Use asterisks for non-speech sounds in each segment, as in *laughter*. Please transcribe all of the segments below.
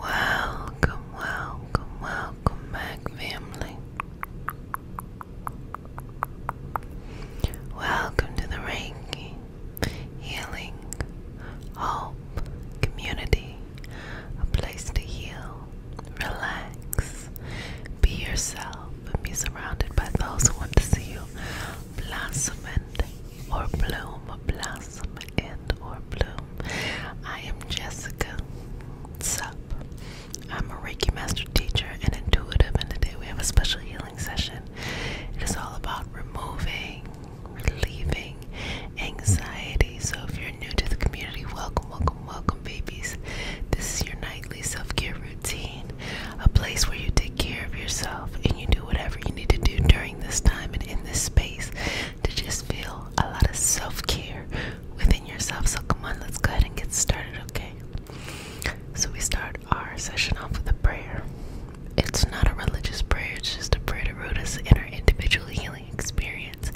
Welcome, welcome, welcome back, family. Welcome to the Reiki Healing Hope Community, a place to heal, relax, be yourself, be surrounded by those who want to see you blossom and or bloom, blossom and or bloom. I am Jessica Sup. I'm a Reiki Master Teacher and Intuitive, and today we have a special healing session. It is all about removing, relieving anxiety. So if you're new to the community, welcome, welcome, welcome, babies. This is your nightly self care a place where you take care of yourself and you do whatever you need to do during this time and in this space to just feel a lot of self care within yourself. So, come on, let's go ahead and get started, okay? So, we start our session off with a prayer. It's not a religious prayer, it's just a prayer to root us in our individual healing experience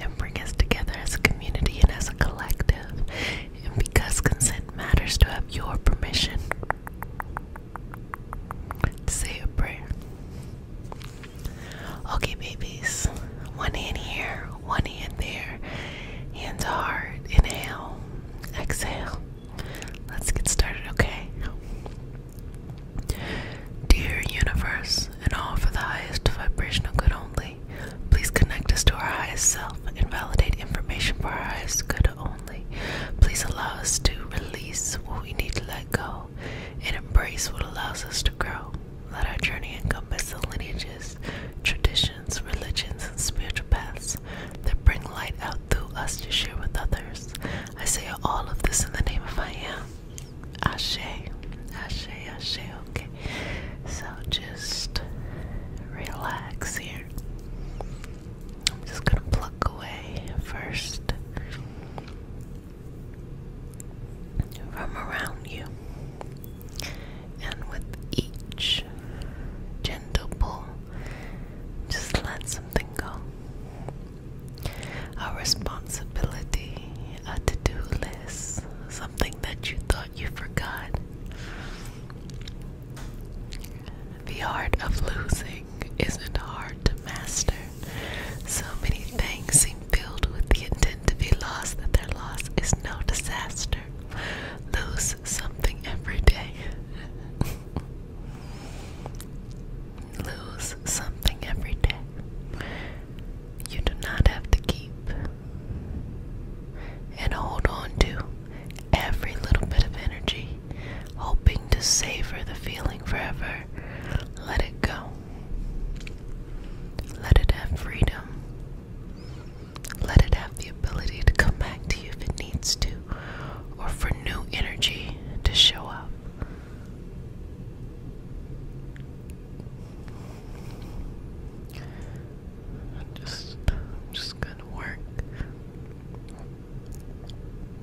and bring us together as a community and as a collective and because consent matters to have your permission to say a prayer. Okay, babies, one hand here, one hand there, hands hard, inhale, exhale. Let's get started, okay? Dear universe, and all for the highest vibrational good only. Please connect us to our highest self and validate information for our highest good only. Please allow us to release what we need to let go and embrace what allows us to grow. Let our journey encompass the lineages, traditions, religions, and spiritual paths that bring light out through us to share with others. I say all of this in the name of I am. Ashe, Ashe, Ashe. Okay, so just relax here. I'm just gonna pluck away first from around you, and with each gentle pull, just let something go. A responsibility, a to do list, something that you thought you forgot, the art of losing isn't hard to master. So many things seem filled with the intent to be lost that their loss is no disaster. Lose something every day. *laughs* Lose something every day. You do not have to keep and hold on to every little bit of energy, hoping to savor the feeling forever. Let it go. Let it have freedom. Let it have the ability to come back to you if it needs to, or for new energy to show up just, just gonna work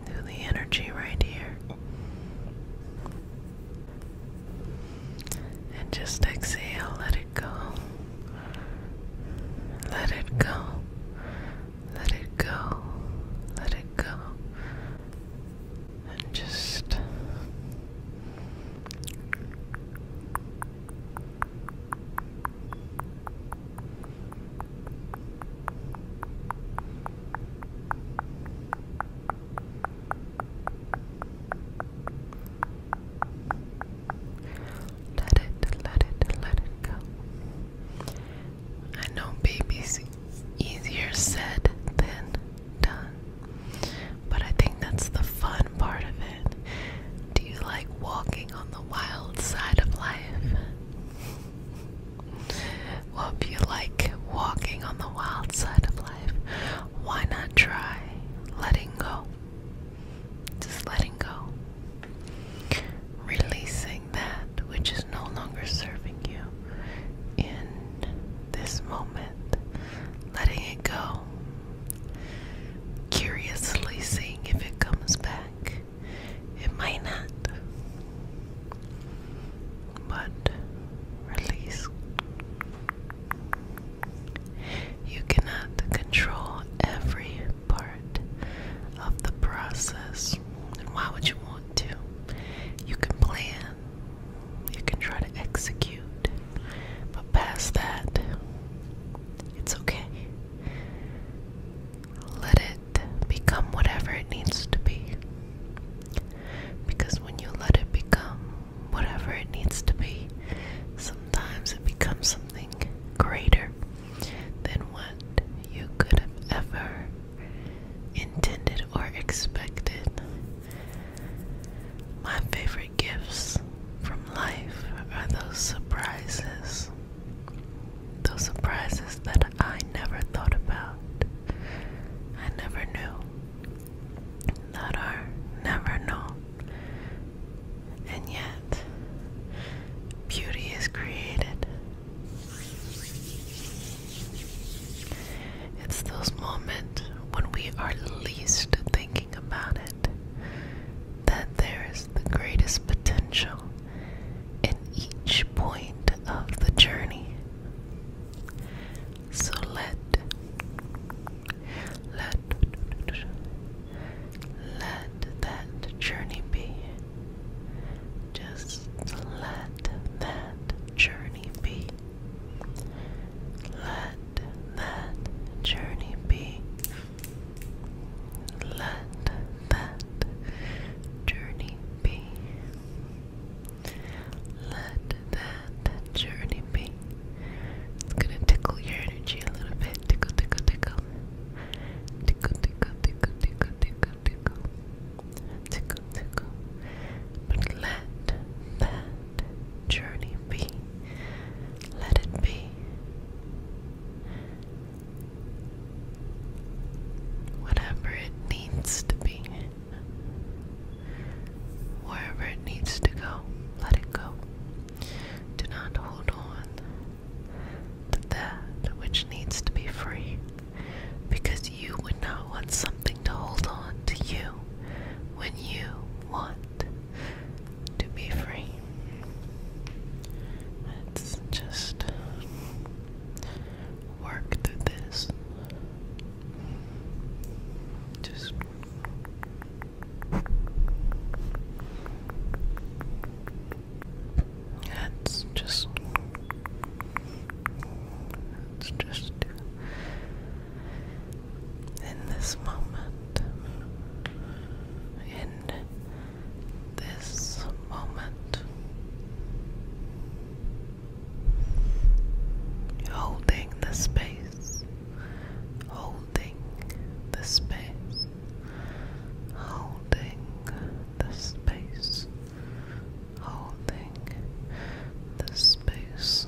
through the energy right here and just exhale, let it go, let it go, let it go, let it go, and just let it, let it, let it go. I know babies easier said than done. But I think that's the fun part of it. Do you like walking? on the wild side of life. well, you like walking on the wild side of life, why not try letting go? Just letting go. Releasing that which is no longer serving you in this moment. Letting it go curiously seeing if it comes back. It might not, but release. You cannot control every part of the process, and why would you want to? You can plan, you can try to execute, but past that, it's okay. Let it become whatever it needs to be. Because when you let it become whatever it needs to be, sometimes it becomes something greater than what you could have ever intended or expected. My favorite gifts from life are those surprises. Those surprises that I never thought about, I never knew, that are never known. And yet, beauty is created. It's those moments when we are least thinking about it that there is the greatest potential in each point of the journey. So let let let that journey be. Just let that journey be. Let that journey be. Let that journey be. Let that journey be. It's gonna tickle your energy a little bit. Tickle, tickle, tickle. Tickle, tickle, tickle, tickle, tickle, tickle. Tickle, tickle. But let that journey be. Let it be whatever it needs to be. Wherever it needs to go, let it go. Do not hold on to that which needs to be free, because you would not want something to hold on to you when you want to be free. Let's just work through this. Just let's just let's just in this moment in this moment, holding the space, holding the space, holding the space, holding the space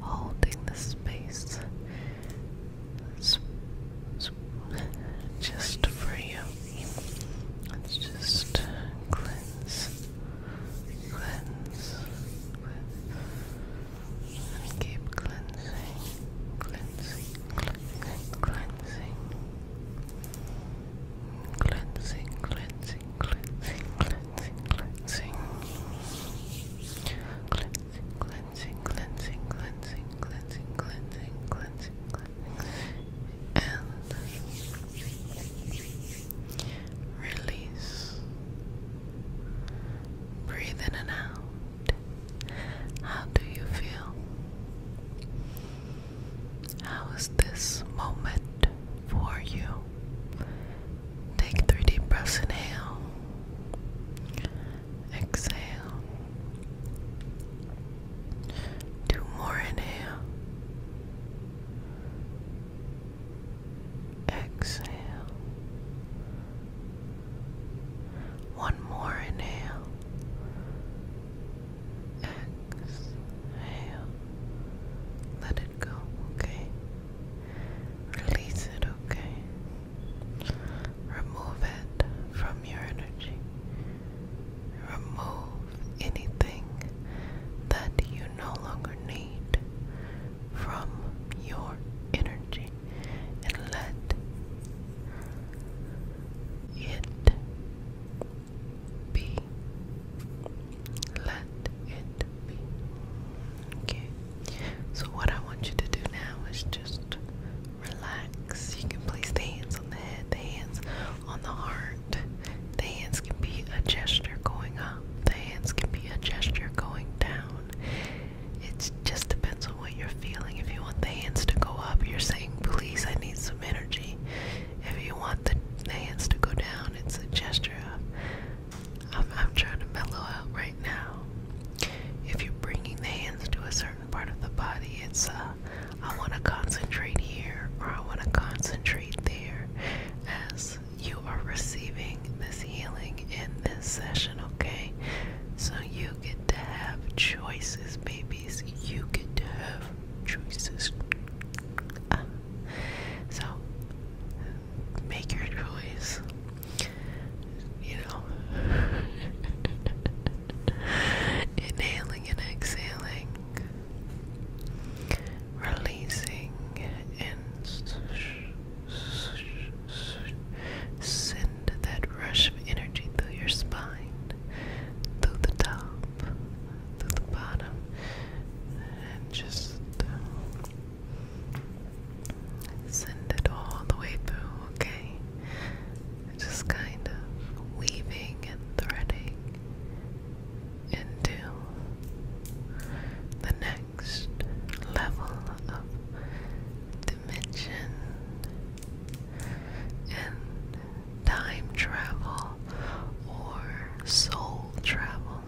holding the space just for you. Let's just cleanse, cleanse, keep cleansing, cleansing, cleansing, cleansing, cleansing, cleansing, cleansing, cleansing, cleansing, cleansing, cleansing, cleansing, cleansing, cleansing, cleansing, cleansing, and release. Breathe in and out. How do you feel? How is this moment for you? Take three deep breaths. Inhale. Exhale. Two more. Inhale. Exhale. One more inhale. Exhale. Let it go. Okay. Release it, okay? Remove it from your energy. Remove anything that you no longer need from your energy and let it be. Let it be. Okay. So, what I want you to do now is just relax. You can place the hands on the head, the hands on the heart. The hands can be a gesture going up, the hands can be a gesture going down. It just depends on what you're feeling. If you want the hands to go up, you're saying, Please, I need some energy. If you want the hands to go down, it's a gesture of I'm, I'm trying to mellow out right now. If you're bringing the hands to a certain part of the body, it's uh, I want to concentrate here or I want to concentrate there as you are receiving this healing in this session, okay? So you get to have choices, babies. You get to have choices. Uh, so make your choice. You know, *laughs* inhaling and exhaling, releasing and send that rush of energy through your spine, through the top, through the bottom, and just. Send it all the way through, okay? Just kind of weaving and threading into the next level of dimension and time travel or soul travel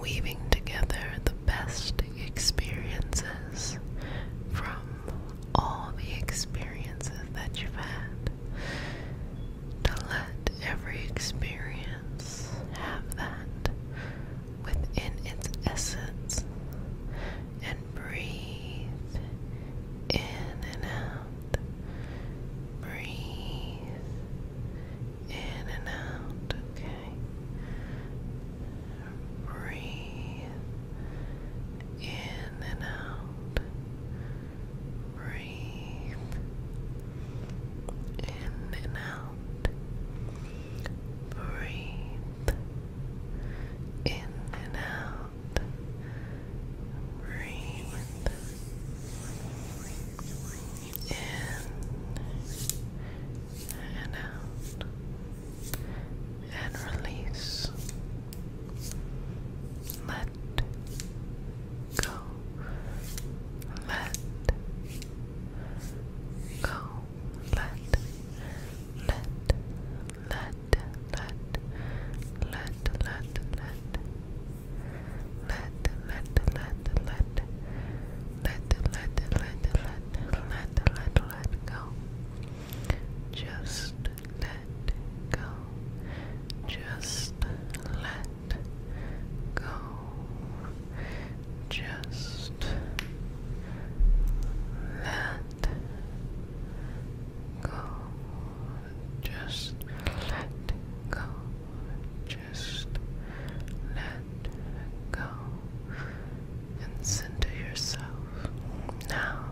weaving together the best experiences from all the experiences that you've had to let every experience have that within its essence and breathe in and out breathe in and out, okay? Breathe in and out. Breathe in and out. Breathe in and out. Breathe in and out and release. Let go. Let go. Let. Let. Let. Let. Let. Let. Let. Let. Let. Let let, let, let, let, let, let, let, let, go. Just let go. Just let go. Just let go. Just let go. Just let go and center yourself. Now,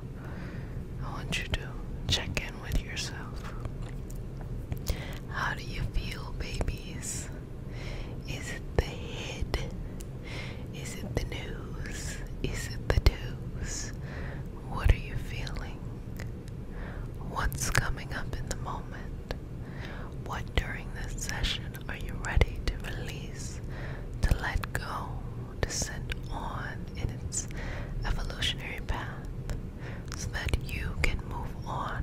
I want you to check in with yourself. How do you feel, babies? Is it the head? Is it the nose? Is it the toes? What are you feeling? What's coming up in the moment? What during this session are you ready to release, to let go, to send on in its evolutionary path so that you can move on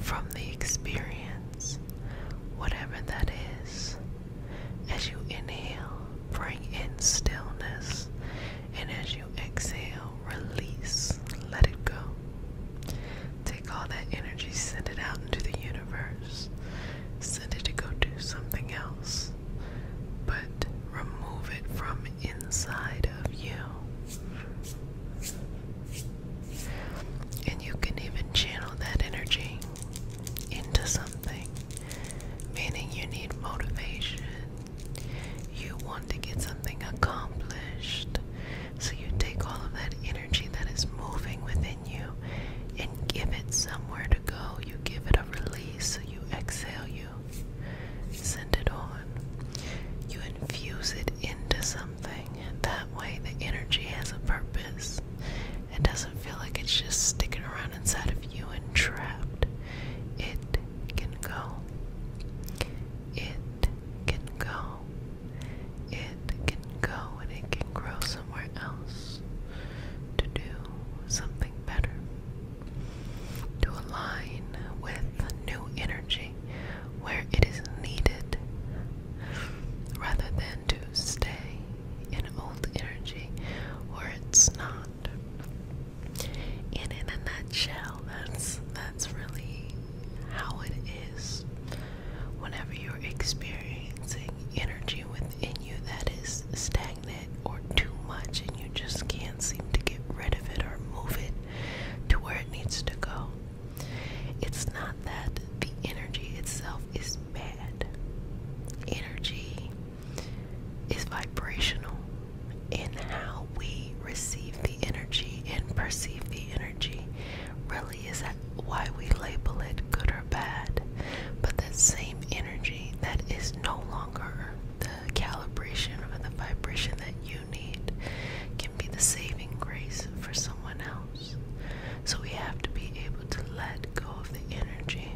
from the experience, whatever that is? As you inhale, bring in stillness, and as you exhale, release, let it go. Take all that energy, send it out into the universe, send it to go do something else, but remove it from inside of you. And you can even channel that energy into something, meaning you need motivation. You want to get something accomplished. So you take all of that energy that is moving within you and give it somewhere to go. You give it a release. So you exhale, you send it on. You infuse it into something. And that way, the energy has a purpose. It doesn't feel like it's just sticking around inside of you and trapped. It can go. It can go. It can go and it can grow somewhere else to do something better, to align with new energy where it is needed rather than to stay in old energy where it's not. And in a nutshell, that's that's really how it is. Whenever you're experiencing energy within you that is stagnant or too much and you just can't seem to get rid of it or move it to where it needs to go, it's not that the energy itself is bad. Energy is vibrational and how we receive the energy and perceive the energy really is why, we label it good or bad, but that same energy that is no longer the calibration or the vibration that you need can be the saving grace for someone else. So we have to be able to let go of the energy.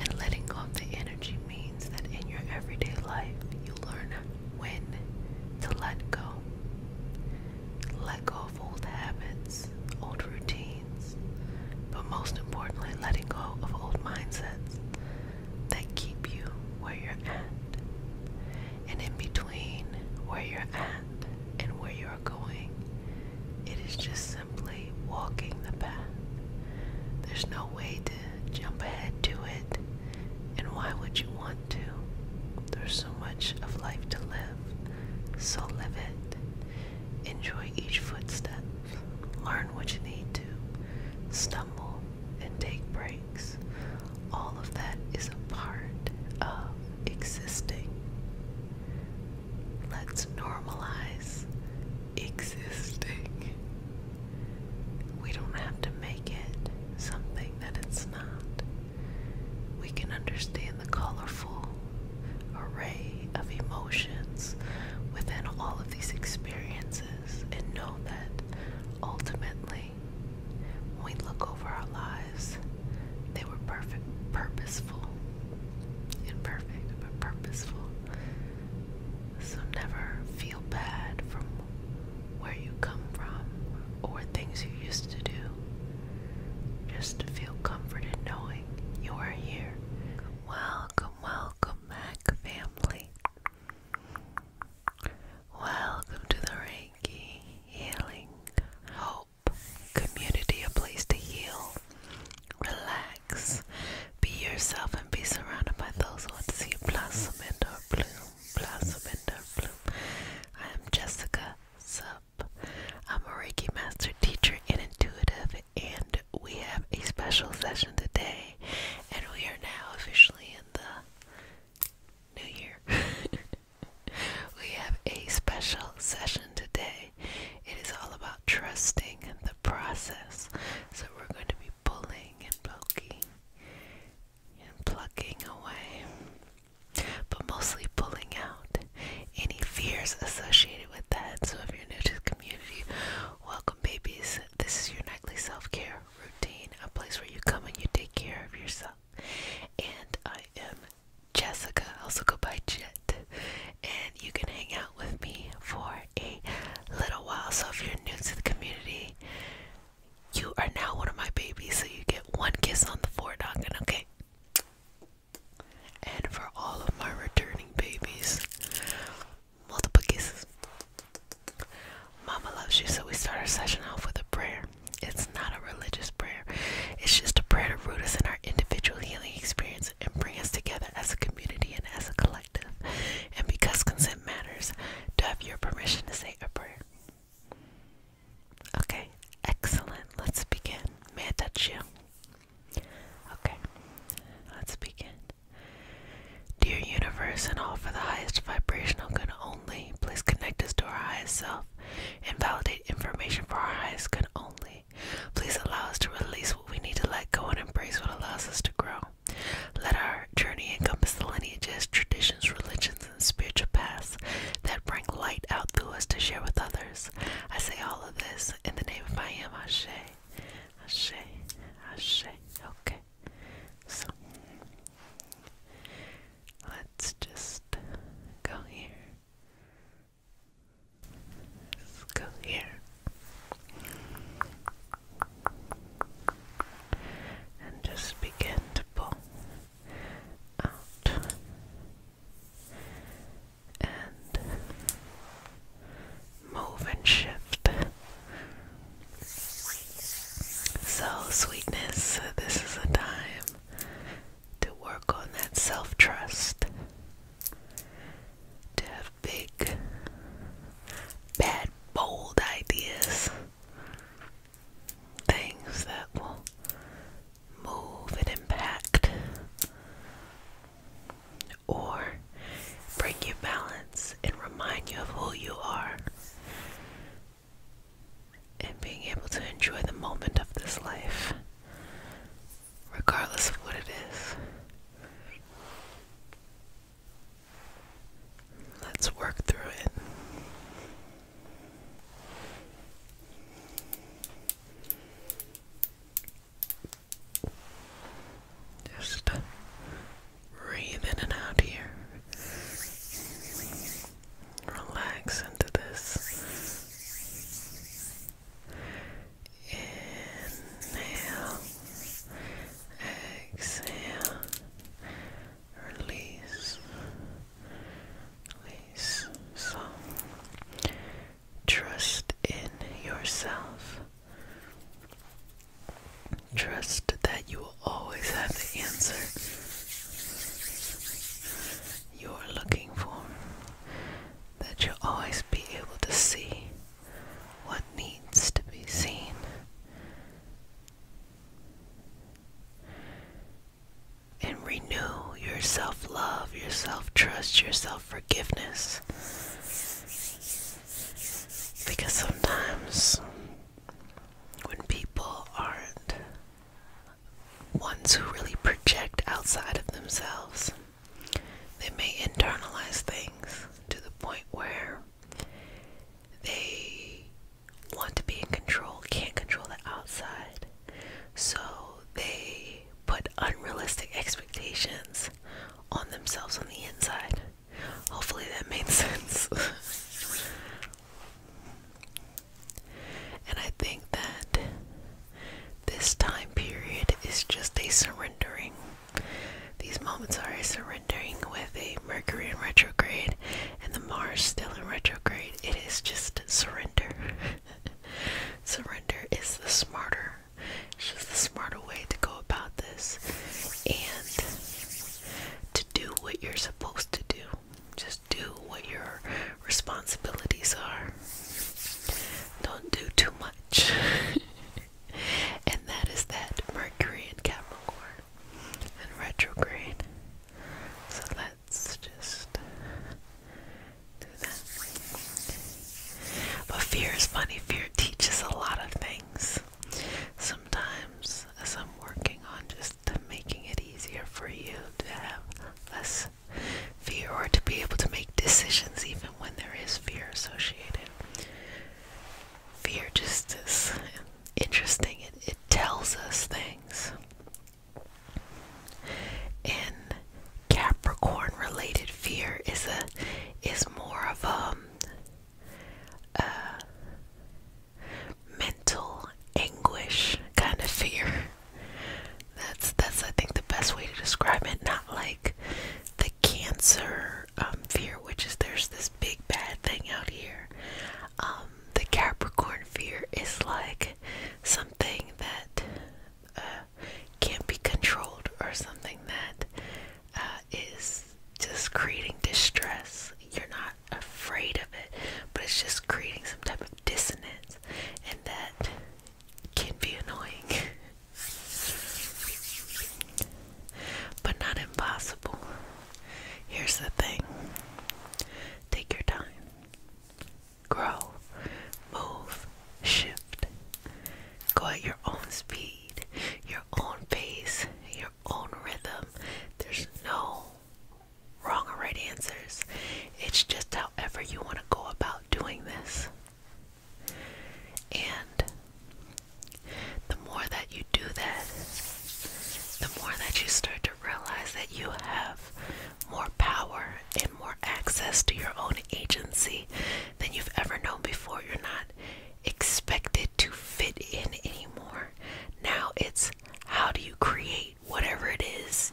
And letting go of the energy means that in your everyday life, you learn when to let go. Let go old habits, old routines, but most importantly, letting go of old mindsets that keep you where you're at. And in between where you're at and where you're going, it is just simply walking the path. There's no way to jump ahead to it, and why would you want? want There's so much of life to live, so live it. Enjoy each footstep, learn what you need to, stumble and take breaks. All of that is a part of existing. Let's normalize existing. We don't have to make it something that it's not. We can understand the colorful array of emotions within all of these experiences and know that ultimately, when we look over our lives, they were perfect, purposeful. Imperfect, but purposeful. So never feel bad from where you come from or things you used to do just to feel comforted knowing you are here. Welcome, welcome back, family. Welcome to the Reiki Healing Hope Community, a place to heal, relax, be yourself, and be surrounded by those who want to see you blossom and or bloom, blossom and or bloom. I am Jessica Sub I'm a Reiki Master Teacher and Intuitive, and we have a special session today. And we are now officially in the new year. *laughs* we have a special session today. It is all about trusting the process. So we're going to be pulling and poking and plucking away but mostly pulling out any fears associated with that. So, if you're new to the community, welcome, babies. This is your nightly self care routine, a place where you come and you take care of yourself. And I am Jessica, also go by Jet, and you can hang out with me for a little while. So, if you're new to the community, you are now one of my babies, so you get one kiss on the forehead, okay? And for all of my returning babies, multiple kisses. Mama loves you, so we start our session off with a prayer. It's not a religious prayer, it's just a prayer to root us in our individual healing experience and bring us together as a community and as a collective. And because consent matters, to have your permission to say a prayer. Okay, excellent. Let's begin. May I touch you? Okay, let's begin. Dear universe and all for the highest vibrational good only, please connect us to our highest self and validate information for our highest good only. Please allow us to release what we need to let go and embrace what allows us to grow. Let our journey encompass the lineages, traditions, religions, spiritual paths that bring light out through us to share with others. I say all of this in the name of I am Ashe. Ashe. Ashe. Okay. So let's just go here. go here. And just begin to pull out and move and shift. So, sweetness, this is a time to work on that self trust, to have big, bad, bold ideas, things that will move and impact or bring you balance and remind you of who you are and being able to enjoy the moment of this life regardless of what it is let's work through it just breathe in and out here. Relax into this. Inhale, exhale, release, so trust in yourself. Trust that you will always have the answer you're looking for. That you'll always be able to see what needs to be seen and renew your self love, your self trust, your self forgiveness. Because sometimes when people aren't ones who really project outside of themselves, they may internalize things to the point where they want to be in control, can't control the outside. So they put unrealistic expectations on themselves on the inside. Hopefully that made *laughs* sense. and I think that this time period is just a surrendering. These moments are a surrendering with a Mercury in retrograde and the Mars still in retrograde. It is just surrender. *laughs* Surrender is the smarter, it's just the smarter way to go about this and to do what you're supposed to do. Just do what your responsibilities are. Don't do too much. *laughs* and that is that Mercury and Capricorn and retrograde. So that it's us just do that. But fear is funny. Fear teaches a lot of things. Sometimes, as I'm working on just making it easier for you to have less fear or to be able to make decisions even when there is fear associated. Fear just is interesting. It, it tells us things in Capricorn related fear is a is more of um, a, mental anguish kind of fear. That's that's I think the best way to describe it. Not like the cancer um, fear, which is there's this big bad thing out here. Um, the Capricorn fear is like something that uh, can't be controlled or something that uh, is just creating distress. You're not afraid of it, but it's just creating some type of dissonance, and that can be annoying, *laughs* but not impossible. Here's the thing take your time grow, move, shift. Go at your own speed, your own pace, your own rhythm. There's no wrong or right answers. It's just however you want to go about doing this. And the more that you do that, the more that you start to realize that you have more power and more access to your own agency than you've ever known before. You're not expected to fit in anymore. Now it's how do you create whatever it is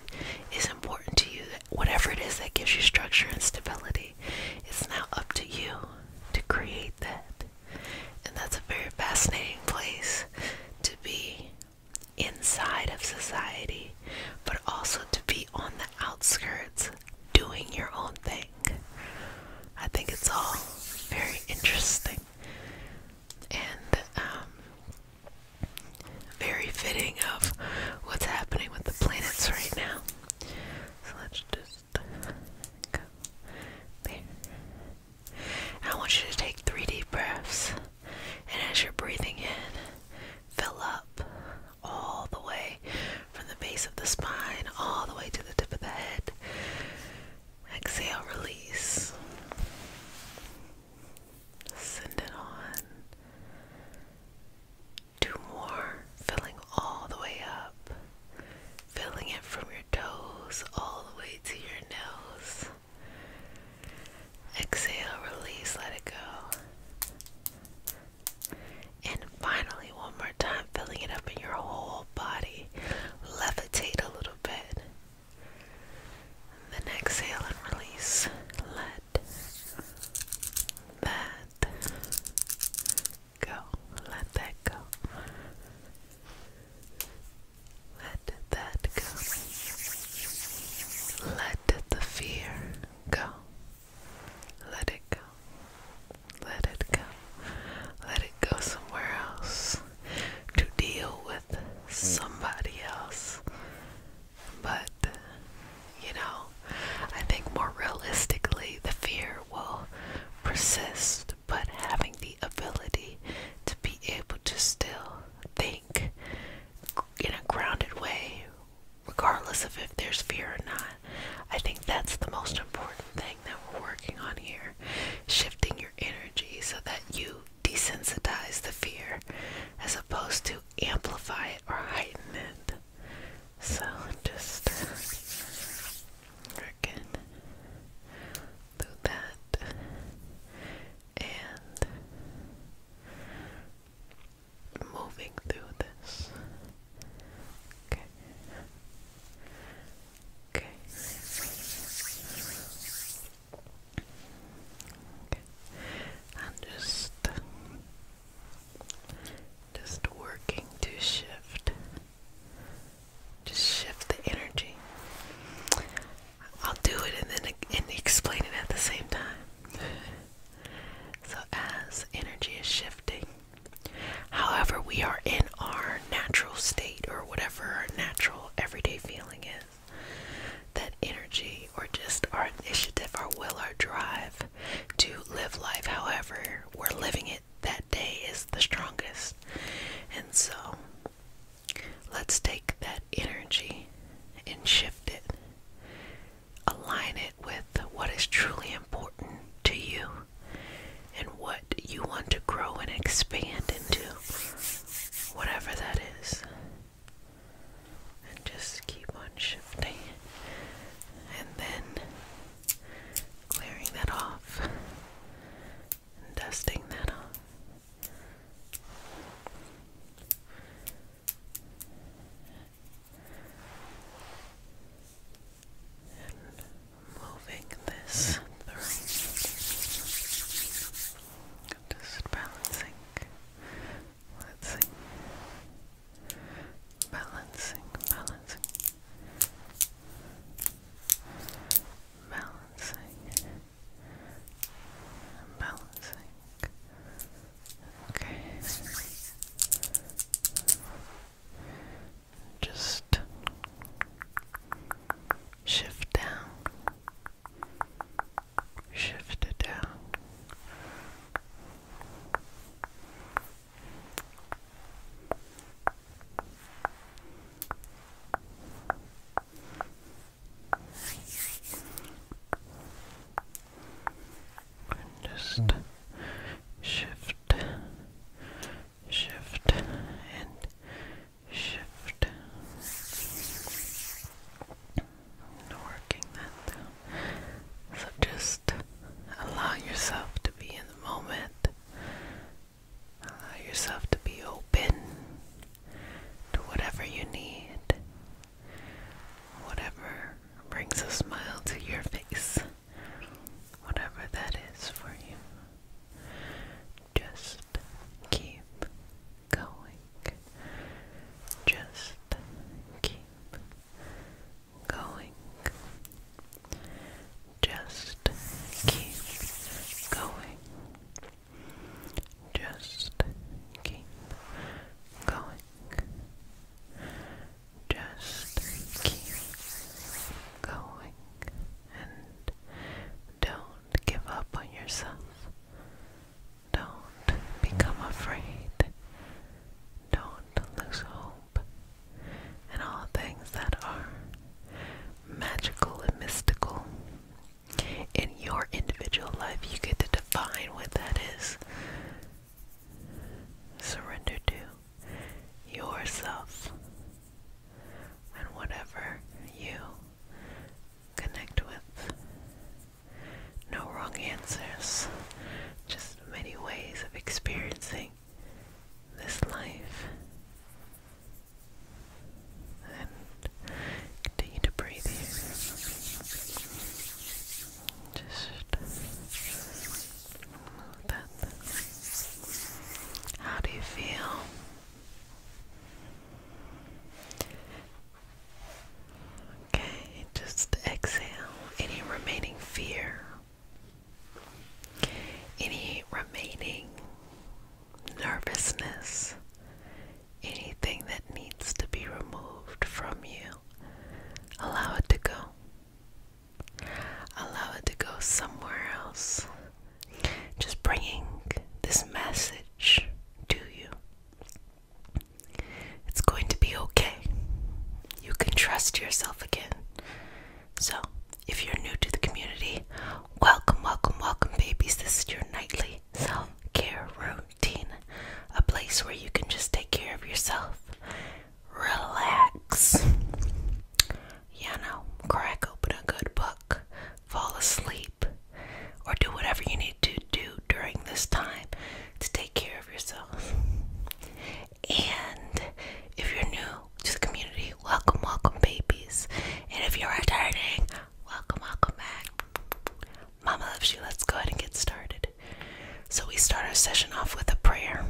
is important to you, whatever it is that gives you structure and stability. It's now up to you to create that. And that's a very fascinating place to be inside of society, but also to be on the outskirts doing your own thing. I think it's all very interesting and um, very fitting of what's happening with the planets right now. So let's just go there. I want you to take three deep breaths. And as you're breathing in, fill up all the way from the base of the spine, all the way to the tip of the head. Exhale, release. Send it on. Two more, filling all the way up, filling it from your toes all the way to your nose. Exhale, release, let it go. And finally, one more time, filling it up in your whole body. Levitate a little bit. And then exhale and release. Let that go. Let that go. Let that go. Let the fear go. Let it go. Let it go. Let it go somewhere else to deal with somebody else. But, you know, I think more realistically, the fear will persist, but having the ability to be able to still think in a grounded way, regardless of if there's fear or not. I think that's the most important thing that we're working on here shifting your energy so that you desensitize the fear as opposed to amplify it or heighten it. So just uh, again that and moving through this. Okay. Okay. Okay. And just just working to shift. Just shift the energy. I'll do it and then and explain it at the same time. *laughs* So, as energy is shifting, however, we are in our natural state or whatever our natural everyday feeling is, that energy or just our initiative, our will, our drive to live life however we're living it that day is the strongest. And so, let's take that energy and shift it align it with what is truly important to you and what you want to grow and expand into, whatever that is. And just keep on shifting and then clearing that off and dusting that off moving this just balancing, let's see. Balancing, balancing, balancing, balancing, Okay. Just shift down, shift it down and just mm. shift, shift, and shift. I'm working that down. So just allow yourself to be in the moment. Allow yourself to be open to whatever you need whatever brings a smile to your face, whatever that is for you. Just keep going. Just keep going. Just keep going. Just keep going. Just keep going and don't give up on yourself. Don't become afraid. Don't lose hope. And all things that are magical and mystical in your individual life, you get to define what that is surrender to yourself and whatever you connect with. No wrong answers, just many ways of experiencing this life. And continue to breathe just that. How do you feel? Okay, just exhale any remaining fear, any remaining nervousness, anything that needs to be removed from you. Allow it to go. Allow it to go somewhere else. Just bringing this message to you. It's going to be okay. You can trust yourself again. So, if you're new to the community, welcome, welcome, welcome, babies. This is your nightly self care routine a place where you can just take care of yourself, relax, you know, crack open a good book, fall asleep, or do whatever you need to do during this time to take care of yourself. And if you're new to the community, welcome, welcome, babies. And if you're returning, welcome, welcome back. Mama loves you. Let's go ahead and get started. So, we start our session off with a prayer.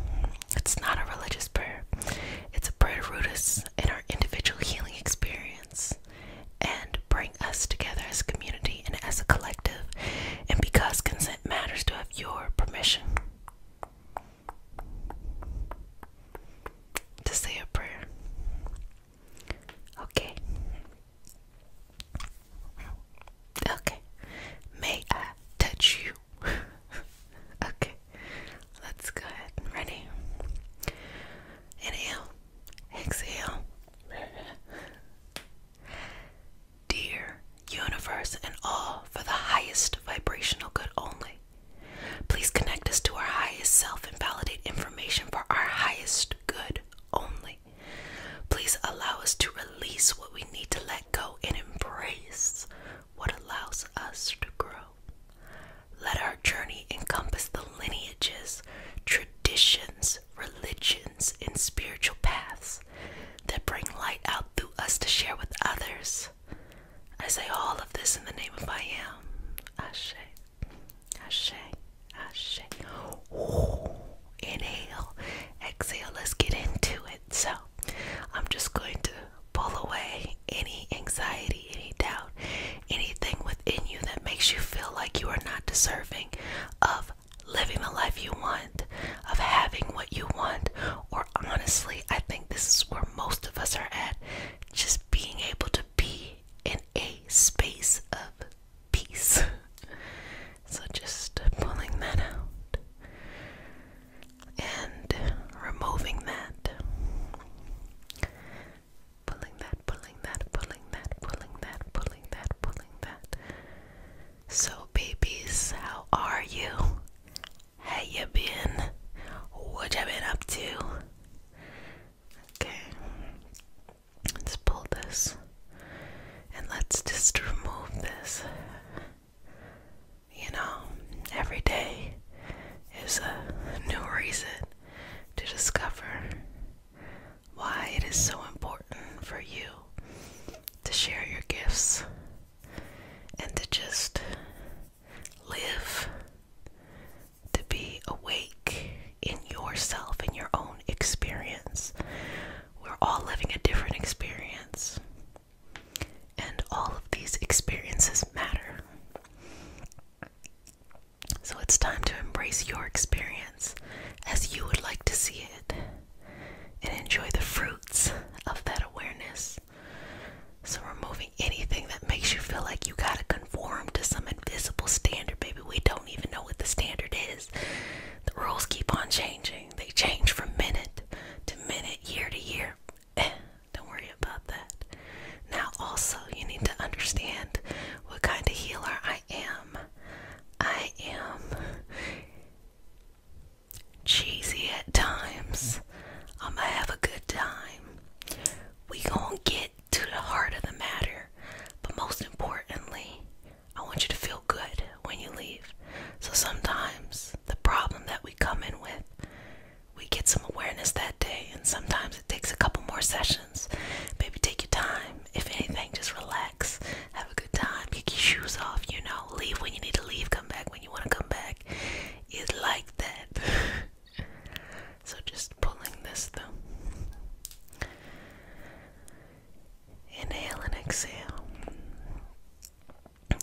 It's not a religious prayer, it's a prayer to root us in our individual healing experience and bring us together as a community and as a collective. And because consent matters, to have your permission to say a prayer. Okay. Okay. May I touch you? *laughs* okay. Let's go ahead ready. Inhale. Exhale. Dear universe and all for the highest vibrational good only. Please connect us to our highest self and validate information for our highest good only. Please allow us to release what we need to let go and embrace what allows us to grow. Let our journey encompass the lineages, traditions, religions, and spiritual paths that bring light out through us to share with others. I say all of this in the name of I am. Ashe. Ashe. Ashe inhale, exhale. Let's get into it. So, I'm just going to pull away any anxiety, any doubt, anything within you that makes you feel like you are not deserving of living the life you want, of having what you want, or honestly, I think this is where most of us are at just being able to be in a space of peace. *laughs* So just pulling that out and removing that. Pulling that, pulling that, pulling that, pulling that, pulling that, pulling that. So, babies, how are you? How you been? What you been up to? Okay, let's pull this and let's just remove this. You know, every day is a new reason to discover why it is so important for you to share your gifts and to just live, to be awake in yourself, and your own experience, we're all living a different experience. And all of these experiences matter. So it's time to embrace your experience as you would like to see it and enjoy the fruits of that awareness. So, removing anything that makes you feel like you gotta conform to some invisible standard, baby. We don't even know what the standard is. The rules keep on changing. They change from minute to minute, year to year. Eh, don't worry about that. Now, also, you need to understand what kind of healer I am. I am cheesy at times. I'm gonna have a good time. We going get to the heart of the matter, but most importantly, I want you to feel good when you leave. So sometimes the problem that we come in with, we get some awareness that day, and sometimes it takes a couple more sessions. Maybe take your time. If anything, just relax, have a good time, kick your shoes off, you know, leave when you need to leave, come back when you want to come back. It's like that. *laughs* so just pulling this through. Inhale and exhale.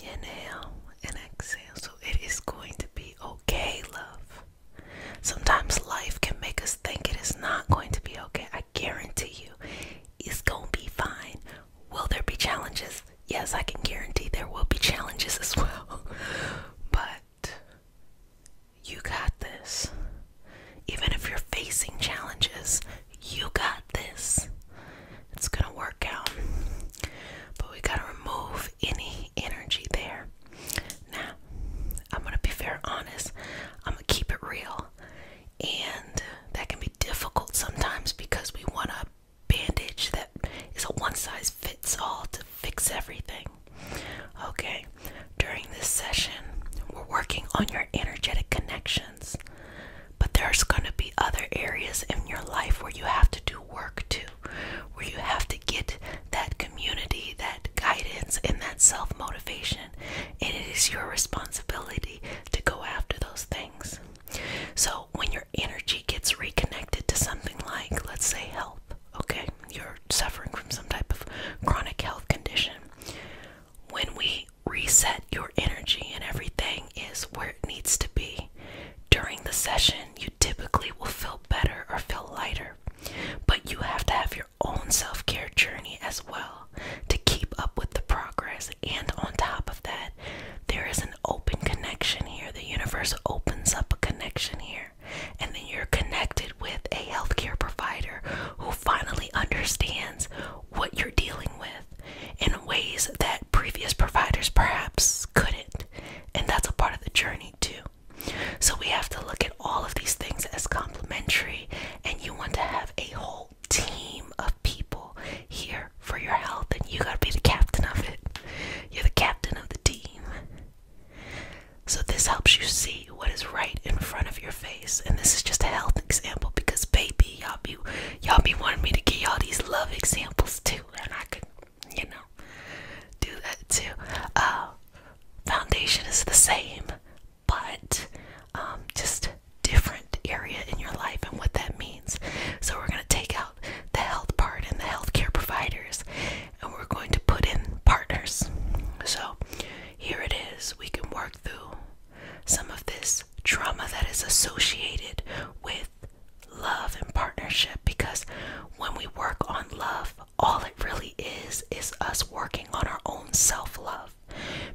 Inhale and exhale. So it is going to be okay, love. Sometimes life can make us think it is not going to be okay. I guarantee you, it's going to be fine. Will there be challenges? Yes, I can guarantee there will be challenges *laughs* as well. but you got this. Even if you're facing challenges, you got this. It's going to work out. But we got to remove any energy there. Now, I'm going to be very honest. I'm going to keep it real. And that can be difficult sometimes because we want a bandage that is a one size fits all to fix everything. Okay, during this session, we're working on your energetic connection. But there's going to be other areas in your life where you have to do work too, where you have to get that community, that guidance, and that self motivation. And it is your responsibility to go after those things. So when your energy gets reconnected to something like, let's say, health, okay, you're suffering from some type of chronic health condition. When we reset your energy and everything is where it needs to be. During the session, you typically will feel better or feel lighter, but you have to have your own self care journey as well to keep up with the progress. And on top of that, there is an open connection here. The universe opens up a connection here, and then you're connected with a healthcare provider who finally understands what you're dealing with in ways that previous providers perhaps couldn't. And that's a part of the journey, too. So we have to look at all of these things as complementary, and you want to have a whole team of people here for your health, and you got to be the captain of it. You're the captain of the team. So, this helps you see what is right in front of your face, and this is just a health example because, baby, y'all be y'all be wanting me to give y'all these love examples too, and I could you know do that too. Uh, foundation is the same, but um, just different area in your life and what that means. So we're gonna take out the health part and the healthcare providers, and we're going to put in partners. So here it is. We can work through some of this trauma that is associated with love and partnership because when we work on love, all it really is is us working on our own self love.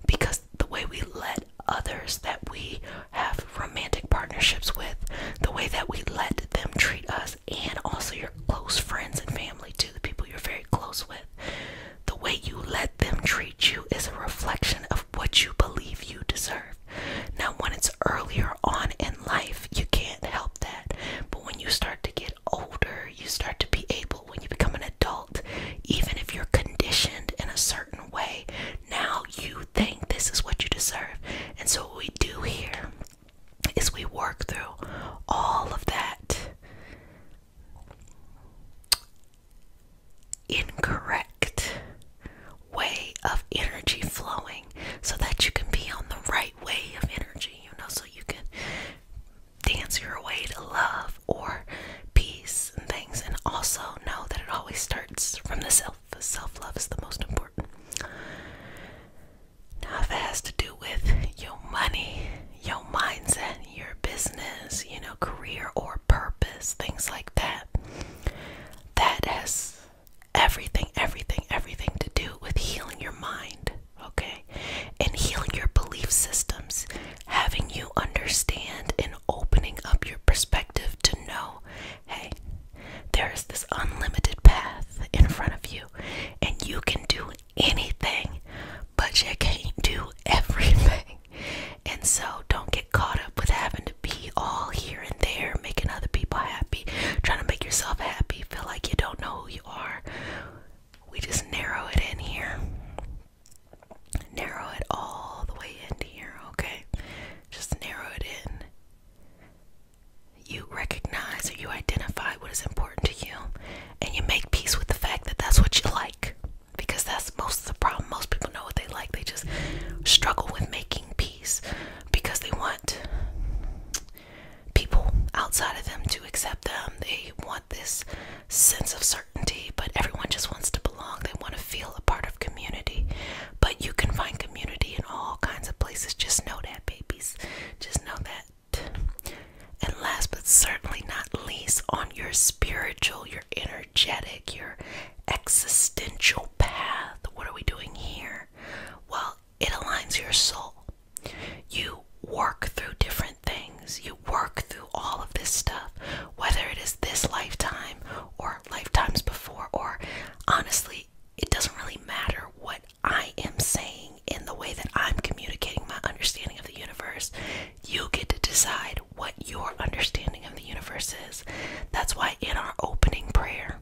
Because the way we let others that we have romantic partnerships with, the way that we let them treat us, and also your close friends and family, to the people you're very close with, the way you let them treat you is a reflection of what you believe you deserve. Now, when it's earlier on in life, you can't help that. But when you start to get older, you start to be able, when you become an adult, even if you're conditioned in a certain way, now you think this is what you deserve. And so, what we do here is we work through all of that incorrect way of energy flowing so that you can be on the right way of energy, you know, so you can dance your way to love or peace and things. And also know that it always starts from the self. Self love is the most important. Now, if it has to do with your money, your mindset, your business, you know, career or purpose, things like that death. That has everything, everything, everything to do with healing your mind, okay? And healing your belief systems, having you understand and opening up your perspective to know hey, there is this unlimited path in front of you, and you can do anything, but you can't do *laughs* everything. And so don't get caught up with having to be all here and there, making other people happy, trying to make yourself happy, feel like you don't know who you are. We just narrow it in here. Narrow it all the way in here, okay? Just narrow it in. You recognize or you identify what is important to you, and you make peace with the fact that that's what you like because that's most of the problem. Most people know what they like, they just struggle with making peace because they want people outside of them to accept them. They want this sense of certainty, but everyone just wants to belong. They want to feel a part of community. But you can find community in all kinds of places. Just know that, babies. Just know that. And last but certainly not least, on your spiritual, your energetic, your existential path. What are we doing here? Well, it aligns your soul. You work through different things, you work through all of this stuff, whether it is this lifetime or lifetimes before, or honestly, it doesn't really matter what I am saying in the way that I'm communicating my understanding of the universe. You get to decide and what your understanding of the universe is. That's why in our opening prayer,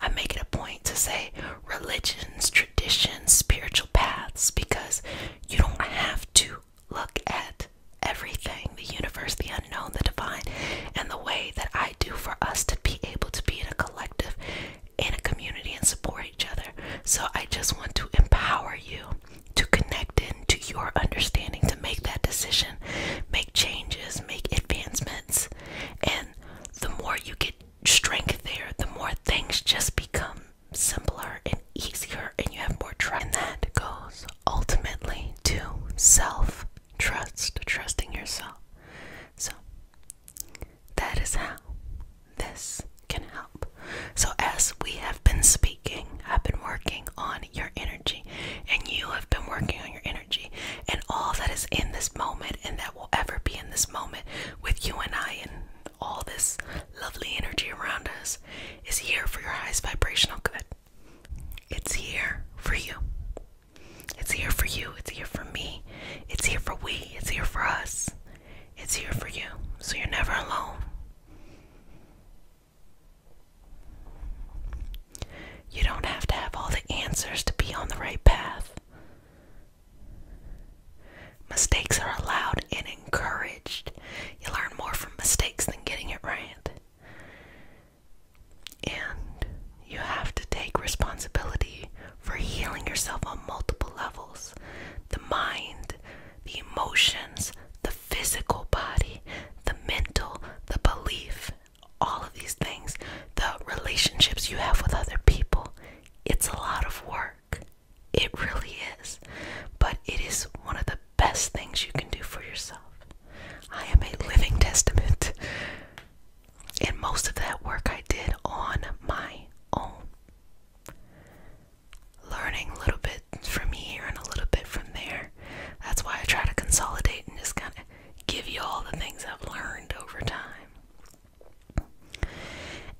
I make it a point to say religions, traditions, spiritual paths, because you don't have to look at everything the universe, the unknown, the divine, and the way that I do for us to be able to be in a collective, in a community, and support each other. So I just want to empower you to connect in to your understanding to make that decision, make changes, make advancements. And the more you get strength there, the more things just become simpler and easier, and you have more trust. And that goes ultimately to self trust, trusting yourself. So, that is how this can help. So, as we have been speaking, I've been working on your inner and you have been working on your energy and all that is in this moment and that will ever be in this moment with you and I and all this lovely energy around us is here for your highest vibrational good. It's here for you. It's here for you. It's here for me. It's here for we. It's here for us. It's here for you. So you're never alone. You don't have to have all the answers to be on the right path. Mistakes are allowed and encouraged. You learn more from mistakes than getting it right. And you have to take responsibility for healing yourself on multiple levels the mind, the emotions, the physical body, the mental, the belief, all of these things, the relationships you have with other people, it's a lot of work. It really is. But it is one of the best things you can do for yourself. I am a living testament. And most of that work I did on my own. Learning a little bit from here and a little bit from there. That's why I try to consolidate and just kind of give you all the things I've learned over time.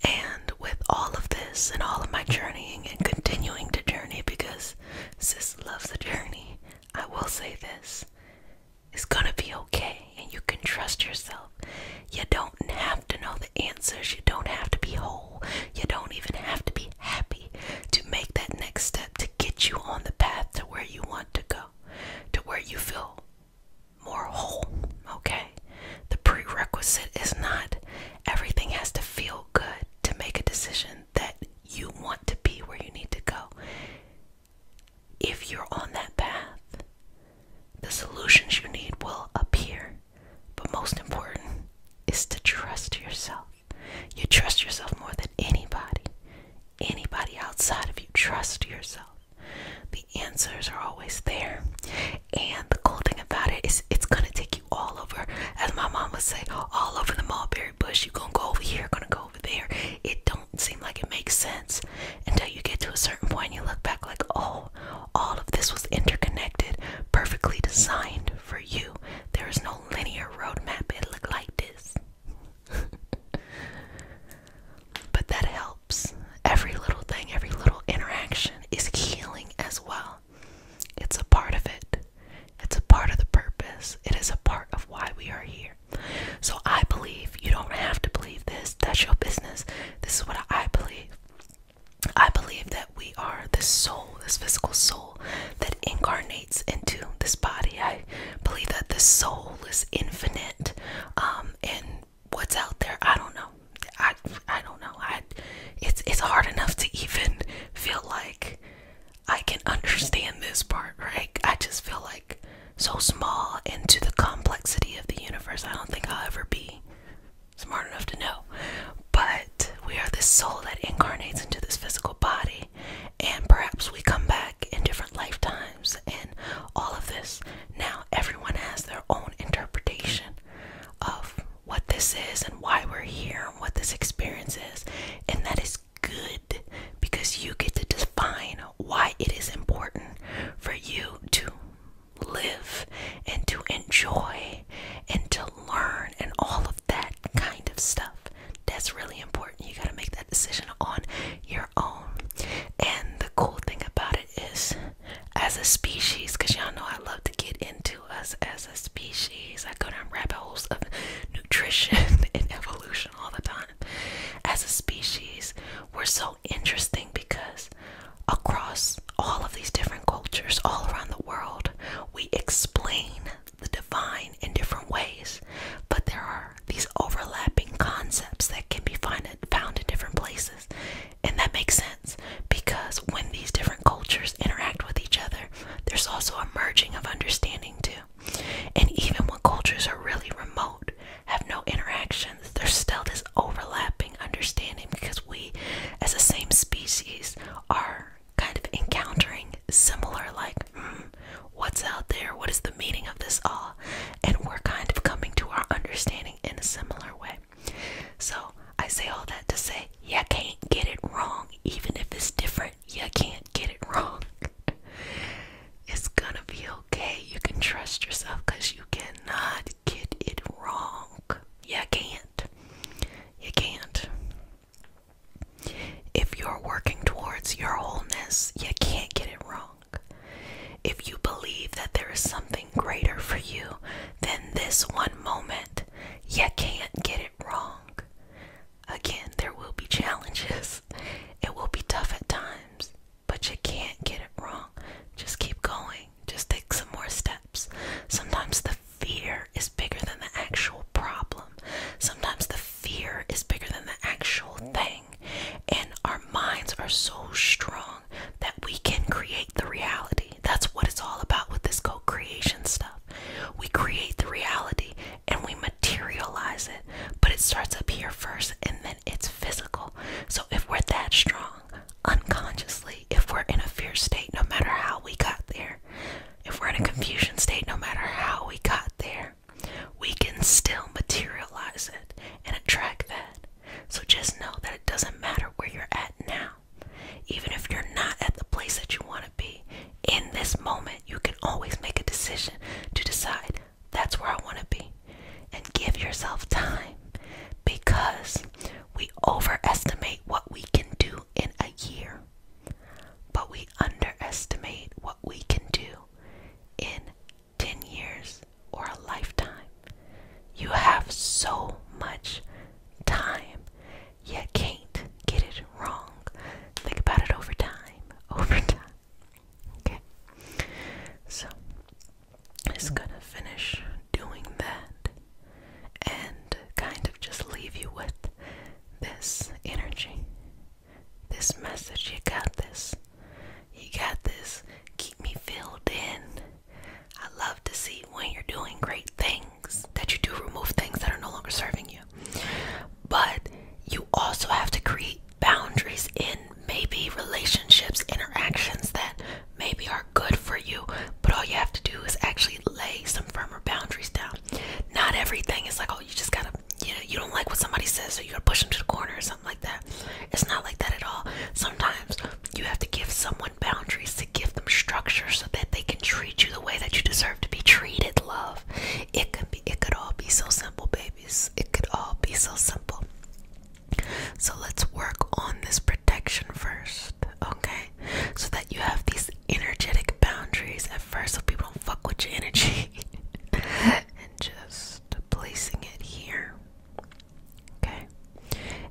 And with all of this and all of my journeying and continuing to journey, because sis loves a journey, I will say this it's gonna be okay, and you can trust yourself. You don't have to know the answers, you don't have to be whole, you don't even have to be happy to make that next step to get you on the path to where you want to go, to where you feel more whole. Okay? The prerequisite is not everything has to feel good to make a decision that you want to be where you need to go. If you're on that path, the solutions you need will appear. But most important is to trust yourself. You trust yourself more than anybody. Anybody outside of you trust yourself. The answers are always there. And the cool thing about it is it's gonna take you all over, as my mom would say, all over the mulberry bush. You're gonna go over here, gonna go over there. It don't seem like it makes sense until you get to a certain point and you look back like, oh, all of this was interconnected, perfectly designed for you. There is no linear road map. It looked like this. *laughs* but that helps. Every little thing, every little interaction is healing as well. It's a part of it, it's a part of the purpose, it is a part of why we are here. So I believe you don't have to believe this. That's your business. This is what I believe. I believe that we are this soul, this physical soul that incarnates into this body. I believe that the soul is infinite, um, and what's out there, I don't know. I I don't know. I it's it's hard enough to even feel like I can understand this part, right? I just feel like so small into the complexity of the universe. I don't think I'll ever be smart enough to know. But we are the soul that incarnates into this physical body and perhaps we come back in different lifetimes and all of this. Now, everyone has their own interpretation of what this is and why we're here and what this experience is, and that is good because you get to define why it is important for you to live and to enjoy and to learn and all of that kind of stuff. That's really important. You got to make that decision on your own. And the cool thing about it is, as a species, because y'all know I love to get into us as a species, I go down rabbit holes of nutrition *laughs* and evolution all the time. As a species, we're so interesting because across all of these different cultures all around the world, we explain the divine in different ways, but there are these overlapping concepts that can be found in different places. And that makes sense because when these different cultures interact with each other, there's also a merging of understanding too. And even when cultures are really remote, have no interactions, there's still this overlapping understanding because we, as the same species, are kind of encountering similar, like, hmm, What's out there? What is the meaning of this all? And we're kind of coming to our understanding in a similar way. So I say all that to say, you can't get it wrong. Even if it's different, you can't get it wrong. *laughs* it's gonna be okay. You can trust yourself because you cannot get it wrong. You can't. You can't. If you're working towards your wholeness, you can't get it wrong. If you believe that there is something greater for you than this one moment, you can't get it wrong. Again, there will be challenges. *laughs* It will be tough at times, but you can't get it wrong. Just keep going. Just take some more steps. Sometimes the fear is bigger than the actual problem. Sometimes the fear is bigger than the actual thing. And our minds are so strong that we can create the reality. That's what it's all about with this co creation stuff. We create the reality and we materialize it, but it starts up here first and then it's physical. So if we're that strong unconsciously, if we're in a fear state, no matter how we got there, if we're in a confusion state, no matter how we got there, we can still materialize it and attract that. So just know that it doesn't matter where you're at now. Even if you're not at the place that you want to be, in this moment, you can always make a decision to decide that's where I want to be. And give yourself time because we overestimate what we can do in a year, but we underestimate what we can do in 10 years or a lifetime. You have so much time, yet can't get it wrong. Think about it over time, *laughs* over time. Okay? So, it's mm. gonna finish doing that and kind of just leave you with this energy this message. You got this. You got this. Keep me filled in. I love to see when you're doing great things that you do remove things that are no longer serving you. But you also have to create boundaries in maybe relationships, interactions that maybe are good for you, but all you have to do is actually lay some firmer boundaries down. Not everything is like, oh, you just gotta you you don't like what somebody says so you're gonna push them to the corner or something like that it's not like that at all sometimes you have to give someone boundaries to give them structure so that they can treat you the way that you deserve to be treated love it can be it could all be so simple babies it could all be so simple so let's work on this protection first okay so that you have these energetic boundaries at first so people don't fuck with your energy *laughs* and just placing it here. Okay?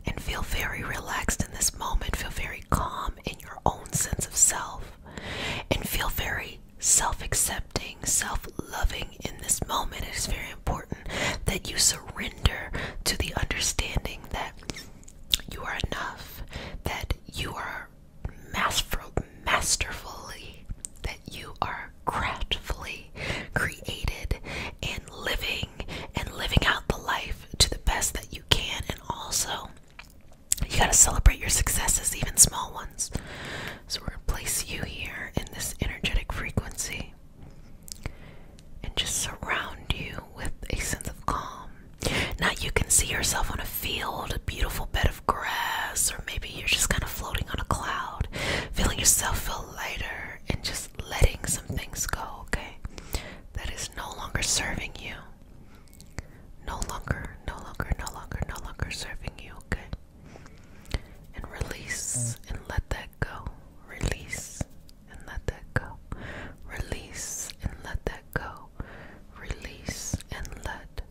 And feel very relaxed in this moment. Feel very calm in your own sense of self. And feel very self accepting, self loving in this moment. It is very important that you surrender to the understanding that you are enough, that you are masterful, masterfully, that you are craftfully created and living and living out the life to the best that you can. And also, you got to celebrate your successes, even small ones. So, we're going to place you here in this energetic frequency and just surround you with a sense of calm. Now, you can see yourself on a field, a beautiful bed of grass, or maybe you're just kind of floating on a cloud, feeling yourself feel lighter and just letting some things go, okay? That is no longer serving you. No longer, no longer, no longer, no longer serving you, okay? And release and let that go. Release and let that go. Release and let that go. Release and let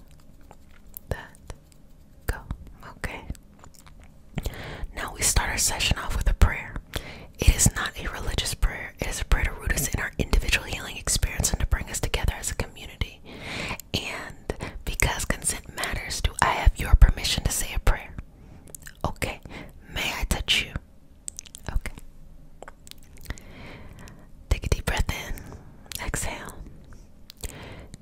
that go. Okay. Now we start our session off with a prayer. It is not a religious prayer, it is a prayer to root us in our individual healing experience and to bring us together as a community. And because consent matters, do I have your permission to say a prayer? Okay. May I touch you? Okay. Take a deep breath in, exhale.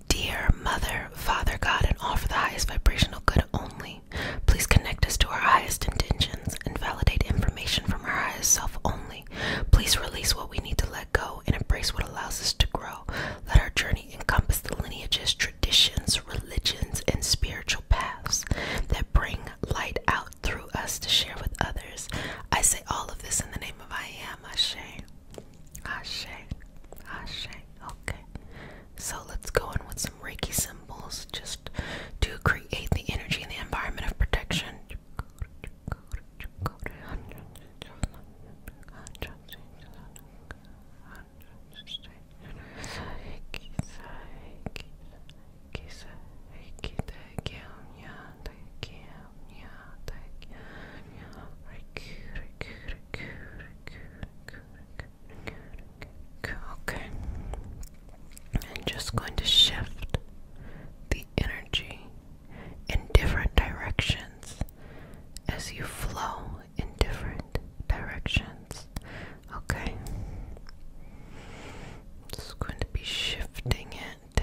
Dear Mother, Father God, and all for the highest vibrational good only, please connect us to our highest intentions and validate information from our highest self only. Please release what we need to let go and embrace what allows us to grow. Let our journey encompass the lineages, traditions, religions, and spiritual paths that bring light out through us to share with others. I say all of this in the name of I Am Ashe. Ashe. Ashe. Okay. So let's go in with some Reiki symbols just to create the energy and the environment of protection. Okay. I'm just going to shift the energy in different directions as you flow in different directions. Okay. It's going to be shifting it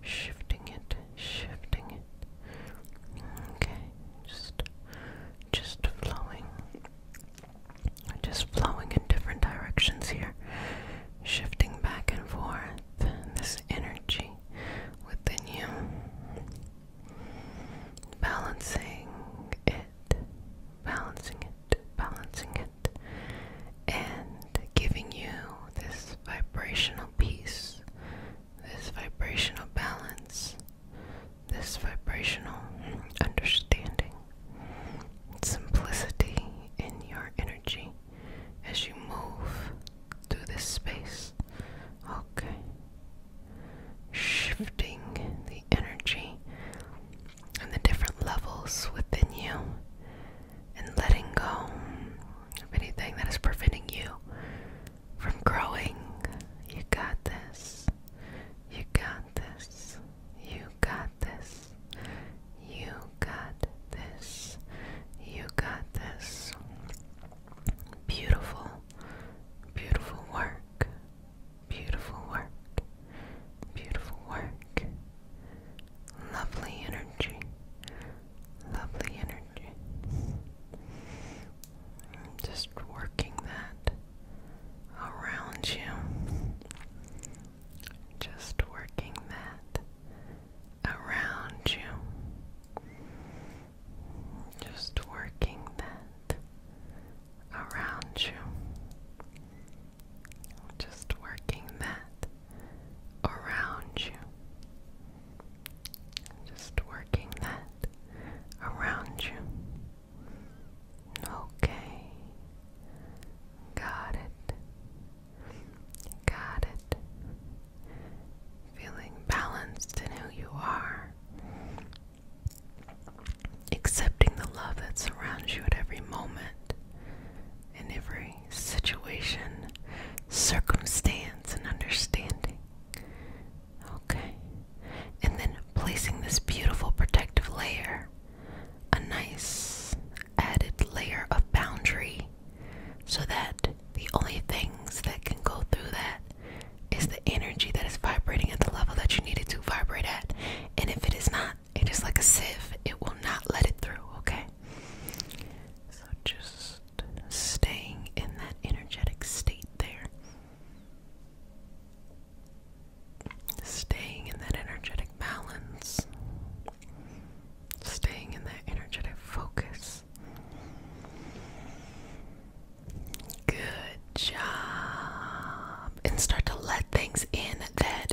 shifting it, shifting it. Okay, just, just flowing, just flowing in different directions here, shifting back and forth. This energy within you, balancing it, balancing it, balancing it and giving you this vibrational peace, this vibrational balance, this vibrational understanding, simplicity in your energy as you move through this space. Okay. Shifting the energy and the different levels within you, and letting go of anything that is preventing you from growing. You got this. You got this. You got this. You got this. You got this. Beautiful, beautiful work. Beautiful work. Beautiful work lovely energy, lovely energy. Just working that around you, just working that around you, just working that around you. Just working that around you. Just working that around you. Okay. Got it. Got it. Feeling balanced in who you are. Accepting the love that surrounds you at every moment and every situation, circumstance, and understanding. Okay. And then placing this beautiful protective layer, a nice added layer of boundary, so that the only things that can go through that is the energy that is vibrating at the level that you need it to vibrate at. And if it is not, it is like a sieve, it will not let it through, okay? So just staying in that energetic state there. Staying in that energetic balance. Staying in that energetic focus. Good job. And start to let things in that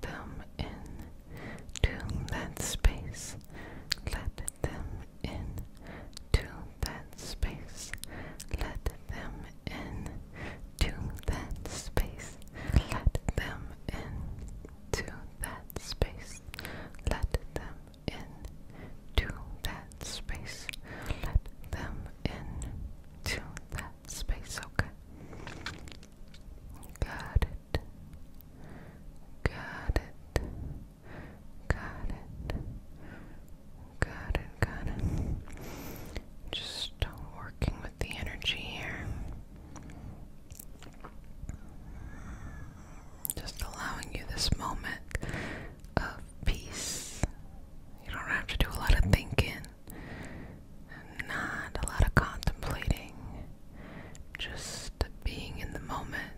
them in to that space. Let them in to that space. Let them in to that space. Let them in to that space. Let them in to that space. Let them in to that space. Okay. Got it. Got it. Got it. Got it. Got it. Just working with the energy here. Just allowing you this moment of peace. You don't have to do a lot of thinking. Not a lot of contemplating, just being in the moment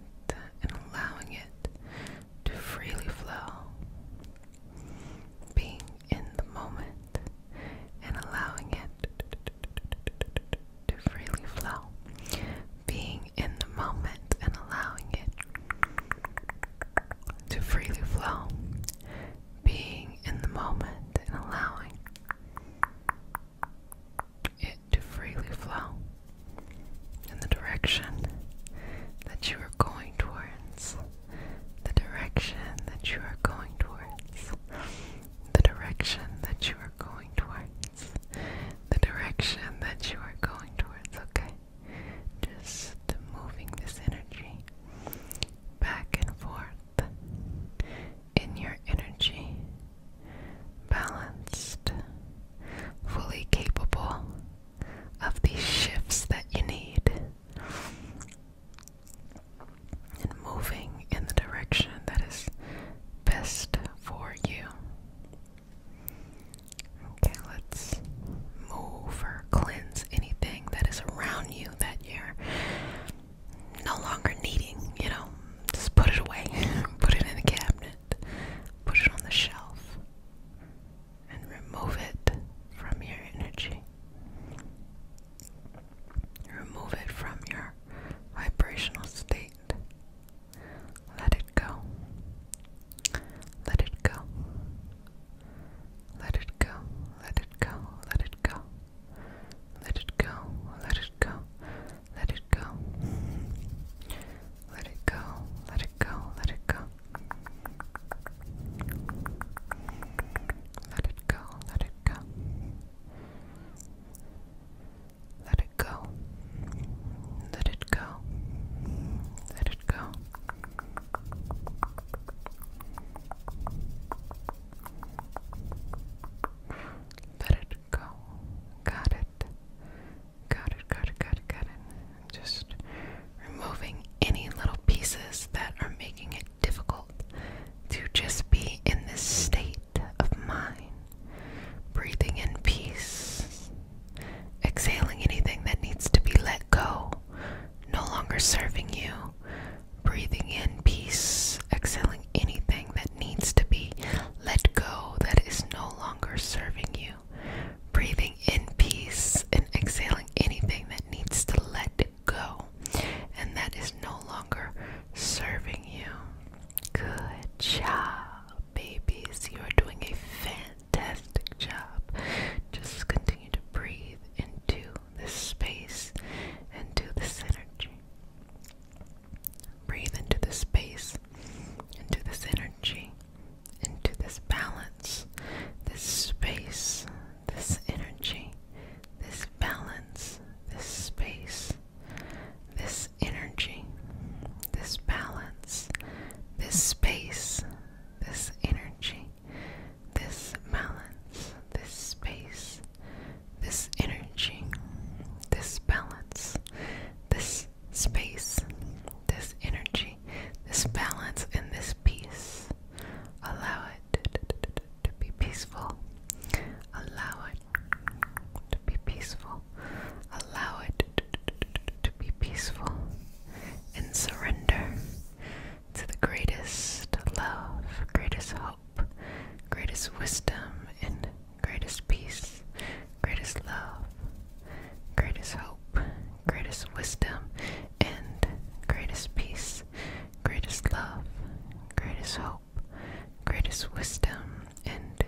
and allowing it to freely flow. Being in the moment and allowing it to freely flow. Being in the moment and allowing it to freely flow being in the moment and allowing it to freely flow in the direction that you are going towards, the direction that you are going towards, the direction that you are going towards, the direction that you are going towards, okay? Just moving this energy back and forth in your energy, balanced, fully capable of these shifts that you need, and moving in the direction that is best for you. Okay, let's move or cleanse anything that is around you that you no longer needing, you know, just put it away, *laughs* put it in a cabinet, put it on the shelf, and remove it from your energy. Remove it from your vibrational state. Let it go. Let it go. Let it go. Let it go. Let it go. Let it go, let it go, let it go. Let it go, let it go, let it go. Let it go, let it go. Let it go. Let it go. Let it go. Let it go. Let it go. Got it. Got it, got it, got it, got it. Just removing any little pieces that are making it difficult to just be in this state of mind. Breathing in peace. Exhaling anything that needs to be let go. No longer serving you breathing in peace, exhaling anything that needs to be let go that is no longer serving you, breathing in peace and exhaling anything that needs to let go and that is no longer serving you. Good job, babies. You are doing a fantastic job. Just continue to breathe into this space and to this energy. Breathe into this space, into this energy, into this balance, this space, this energy, this balance, this space, this energy, this balance, this space, this energy, this balance, this space, this energy, this balance, this space, this energy, this balance, and this peace. Allow it to be peaceful. Allow it to be peaceful. Allow it to be peaceful and surrender to the greatest love, greatest hope greatest wisdom, and greatest peace, greatest love, greatest hope, greatest wisdom, and greatest peace, greatest love, greatest hope, greatest wisdom, and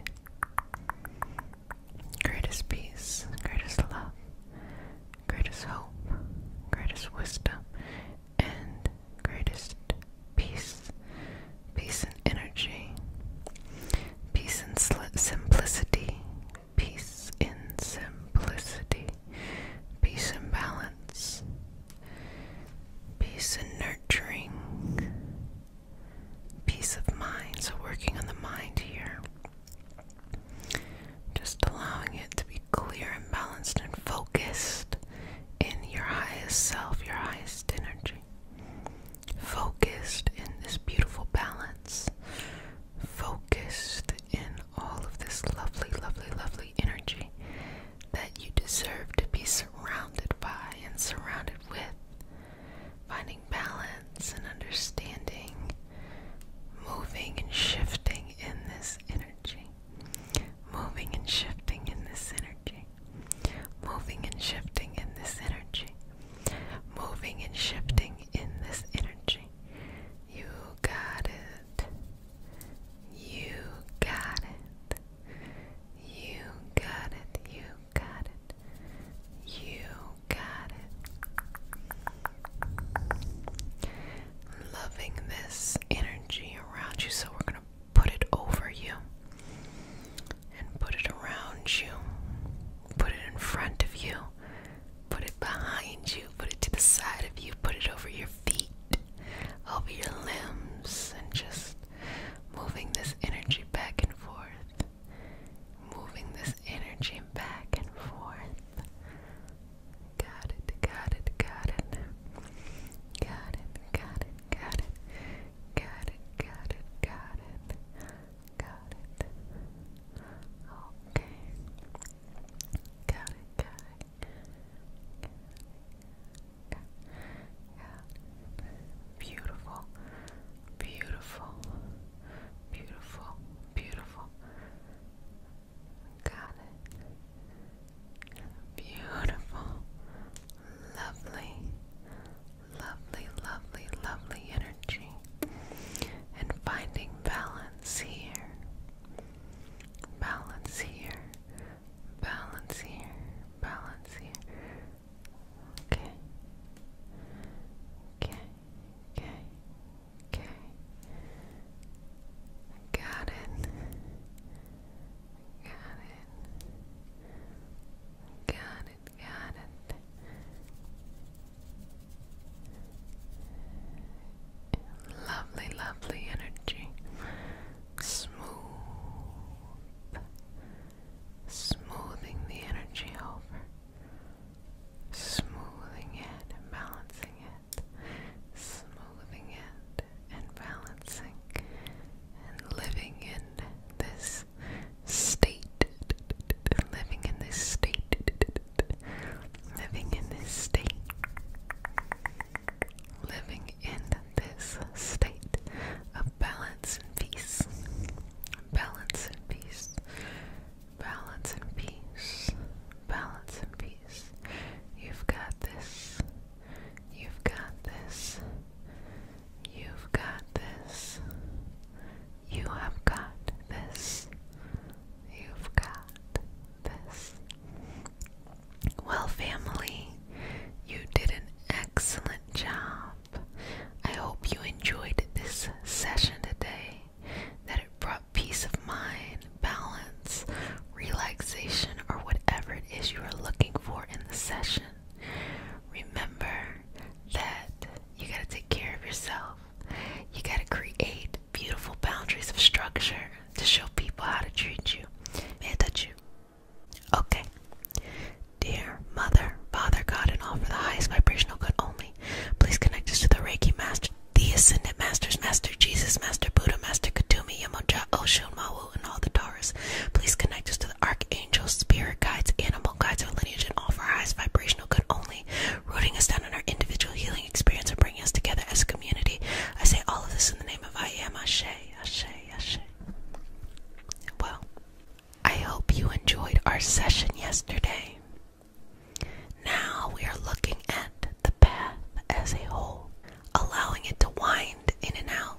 greatest peace, greatest love, greatest hope, greatest wisdom, and greatest peace, peace and energy, peace and simplicity, peace in simplicity, peace and balance, peace and nurturing, peace of mind. So, working on the mind here. Just allowing it to be clear and balanced and focused in your highest self, your highest energy, focused in this beautiful balance, focused in all of this lovely, lovely, lovely energy that you deserve to be surrounded by and surrounded with, finding balance and understanding, moving and shifting in this energy moving and shifting in this energy, moving and shifting in this energy, moving and shifting in this energy. You got it. You got it. You got it. You got it. You got it. Loving this energy around you. So we're going to put it over you and put it around you, put it in front of you, put it behind you, put it to the side of you, put it over your feet, over your limbs, and just moving this energy back and forth. Moving this energy back and forth. Got it, got it, got it. Got it, got it, it, got it, got it, got it, got it, got it. Okay. Got it, got it. Got it. Got it. Beautiful. Beautiful. Beautiful. Beautiful. Got it. Beautiful, lovely, lovely, lovely, lovely energy. And finding balance here. Balance here. Balance here. Balance here. Okay. Okay. Okay. Okay. Got it. Got it. Got it, got it. Lovely, lovely energy. Smooth. Smoothing the energy over. Smoothing it and balancing it. Smoothing it and balancing and living in this state, living in this state, living in this state, living in this state of balance and peace, balance and peace, balance and peace, balance and peace. You've got this. You've got this. You've got this. You have got this. You've got this. Well, family, you did an excellent job. I hope you enjoyed this session today, that it brought peace of mind, balance, relaxation, or whatever it is you are looking for in the session, remember that you got to take care of yourself. You got to create beautiful boundaries of structure to show people how to treat you and touch you. Okay. Dear Mother, Father, God, and all for the highest vibrational good only, please connect us to the Reiki Master, the Ascendant Masters, Master Jesus, Master Buddha, Master Katumi, Yamoja, Osho, Ma and all the Taurus. Please connect us to the archangel spirit guides, animal guides, our lineage, and all for our highest vibrational good only, rooting us down in our individual healing experience and bringing us together as a community. I say all of this in the name of I am Ashe, Ashe, Ashe. Well, I hope you enjoyed our session yesterday. Now we are looking at the path as a whole, allowing it to wind in and out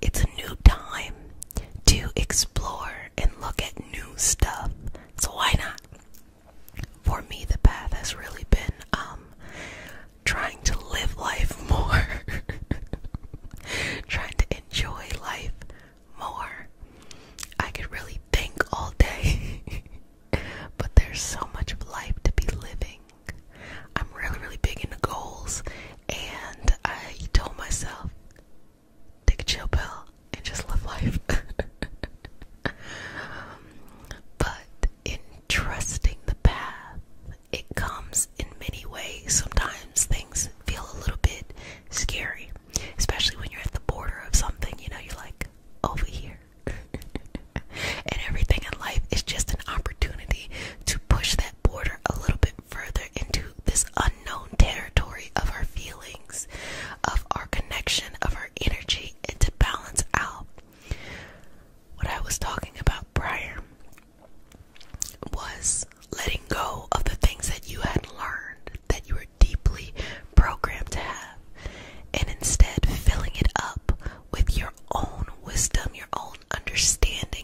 it's a new time to explore and look at new stuff. So why not? For me, the path has really been um, trying to live life more, *laughs* trying to enjoy life more. I could really think all day, *laughs* but there's so much of life to be living. I'm really, really big into goals, and I told myself take a chill pill and just live life. *laughs* but in trusting the path, it comes in many ways. Sometimes things feel a little bit scary, especially when you're at the border of something, you know, you're like, over here. *laughs* and everything in life is just an opportunity to push that border a little bit further into this unknown territory of our feelings, of our connection, of our energy, and to balance out what I was talking about prior was letting go of the things that you had learned that you were deeply programmed to have and instead filling it up with your own wisdom, your own understanding,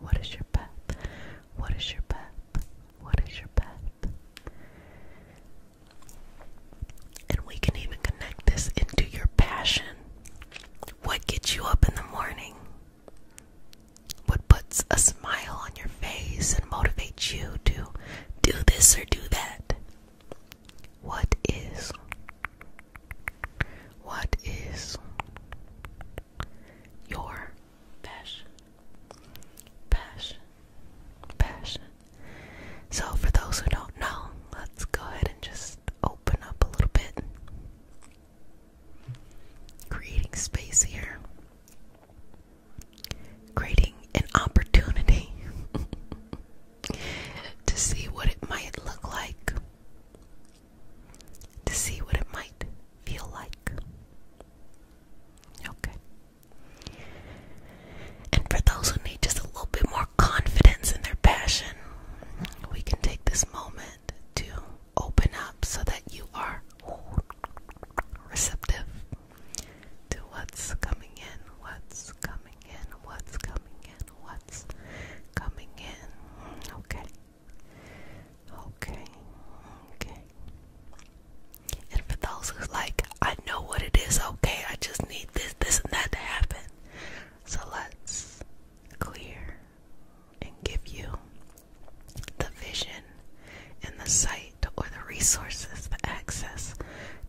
What is your path? What is your path? What is your path? And we can even connect this into your passion. What gets you up in the morning? What puts a smile on your face and motivates you to do this or do that? What is? What is? your passion. Passion. Passion. So, for those who don't know, let's go ahead and just open up a little bit. Creating space here, creating an opportunity *laughs* to see what it might look like to see what it might feel like. Okay. And for those who need just a little bit more confidence in their passion, we can take this moment to open up so that you are receptive to what's coming in, what's coming in, what's coming in, what's coming in. Okay. Okay, okay. And for those who's like, I know what it is, okay, I just need this, this, and that to happen. So let's clear and give you the vision and the sight or the resources, the access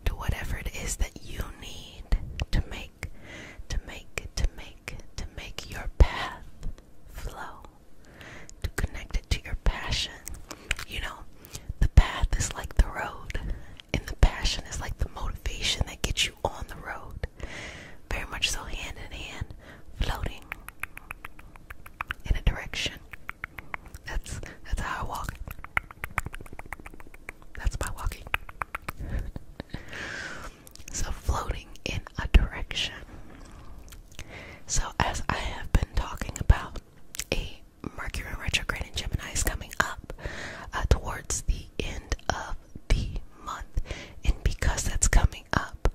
to whatever it is that you need to make, to make, it, to make to make your path flow, to connect it to your passion. You know, the path is like the road, and the passion is like the motivation that gets you on the road. Very much so, hand in hand, floating in a direction. That's that's how I walk. That's my walking. *laughs* So, floating in a direction. So, as I have been talking about, a Mercury retrograde in Gemini is coming up uh, towards the end of the month. And because that's coming up,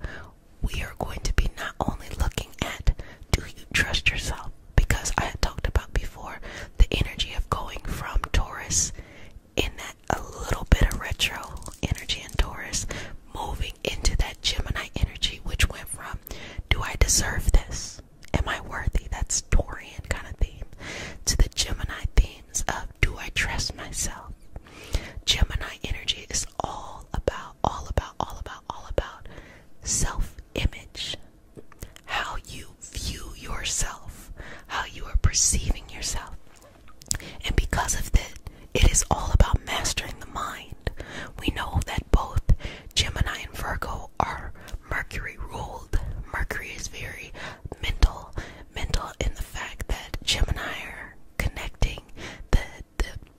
we are going to be not only looking at do you trust yourself? Because I had talked about before the energy of going from Taurus in that a little bit of retro energy in Taurus moving into that Gemini energy, which went from do I deserve this? Am I worthy? That's Taurian kind of theme to the Gemini themes of do I trust myself? Gemini energy is all about, all about, all about, all about self image, how you view yourself, how you are perceiving yourself. And because of that, it is all about mastering the mind. We know that both Gemini and Virgo are Mercury ruled. Mercury is very mental, mental in the fact that Gemini are connecting the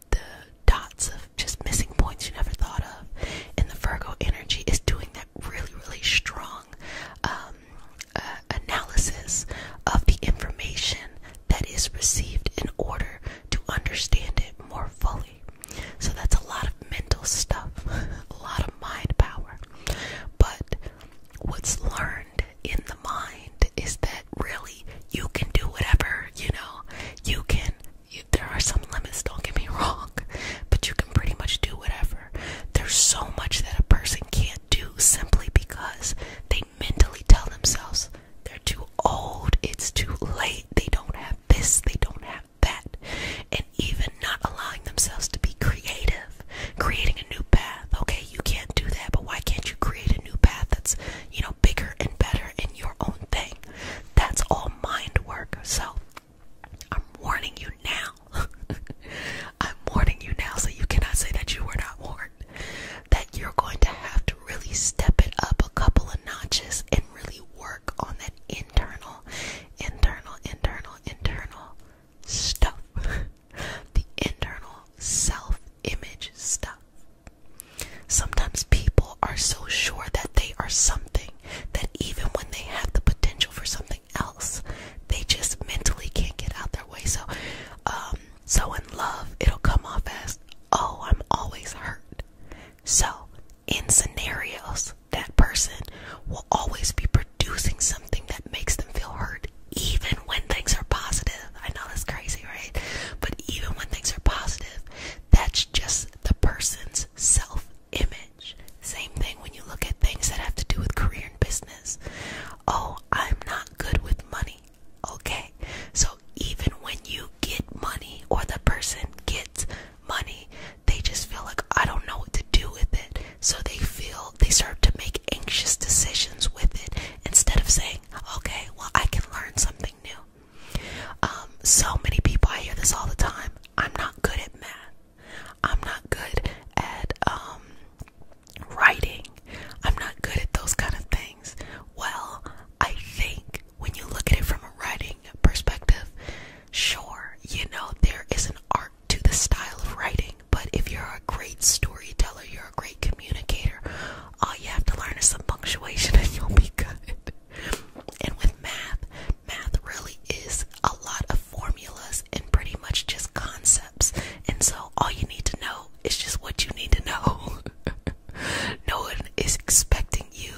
the dots of just missing points you never thought of. And the Virgo energy is doing that really, really strong um, uh, analysis of the information that is received in order to understand it more fully. So that's a lot of mental stuff, *laughs* a lot of mind power. But what's learned in the mind is that really you can do whatever, you know, you can. there are some limits, don't get me *laughs* wrong, but you can pretty much do whatever. There's so much that a person can't do simply because they they mentally tell themselves they're too old, it's too late, they don't have this, they don't have that, and even not allowing themselves to be creative, creating a new path. Okay, you can't do that, but why can't you create a new path that's, you know, bigger and better in your own thing? That's all mind work. So, I'm warning you now. *laughs* I'm warning you now so you cannot say that you were not warned that you're going to have to really step it up a couple of notches and really work on that internal, internal, internal, internal stuff. *laughs* the internal self image stuff. Sometimes people are so sure that they are something that even when they have the potential for something else, they just mentally can't get out their way. So, um, so in love, it'll come off as, oh, I'm always hurt. So in scenarios, that person will always be producing something that makes them feel hurt, even when things are positive. I know that's crazy, right? But even when things are positive, that's just the person's self image. Same thing when you look at things that have to do with career and business. Oh, I'm not good with money. Okay, so even when you get money or the person gets money, they just feel like I don't know what to do with it. So they feel they start to make anxious decisions with it instead of saying, okay, well, I can learn something new. Um, so many people, I hear this all the time I'm not good at math, I'm not good at um, writing, I'm not good at those kind of things. Well, I think when you look at it from a writing perspective, sure, you know, there is an art to the style of writing, but if you're a great storyteller, you're a great communicator, all you have to learn is some punctuation *laughs* and you'll be good. And with math, math really is a lot of formulas and pretty much just concepts. And so all you need to know is just what you need to know. *laughs* no one is expecting you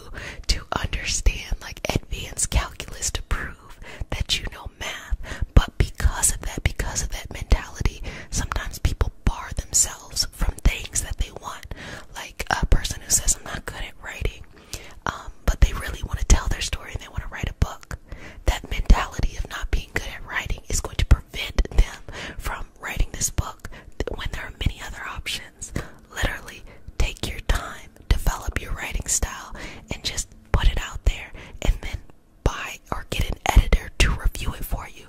to understand like advanced calculus to prove that you know math. But because of that, because of that mentality, sometimes people bar themselves from things that they want. Like a person who says, I'm not good at writing, um, but they really want to tell their story and they want to write a book. That mentality of not being good at writing is going to prevent them from um, writing this book when there are many other options. Literally, take your time, develop your writing style, and just put it out there, and then buy or get an editor to review it for you.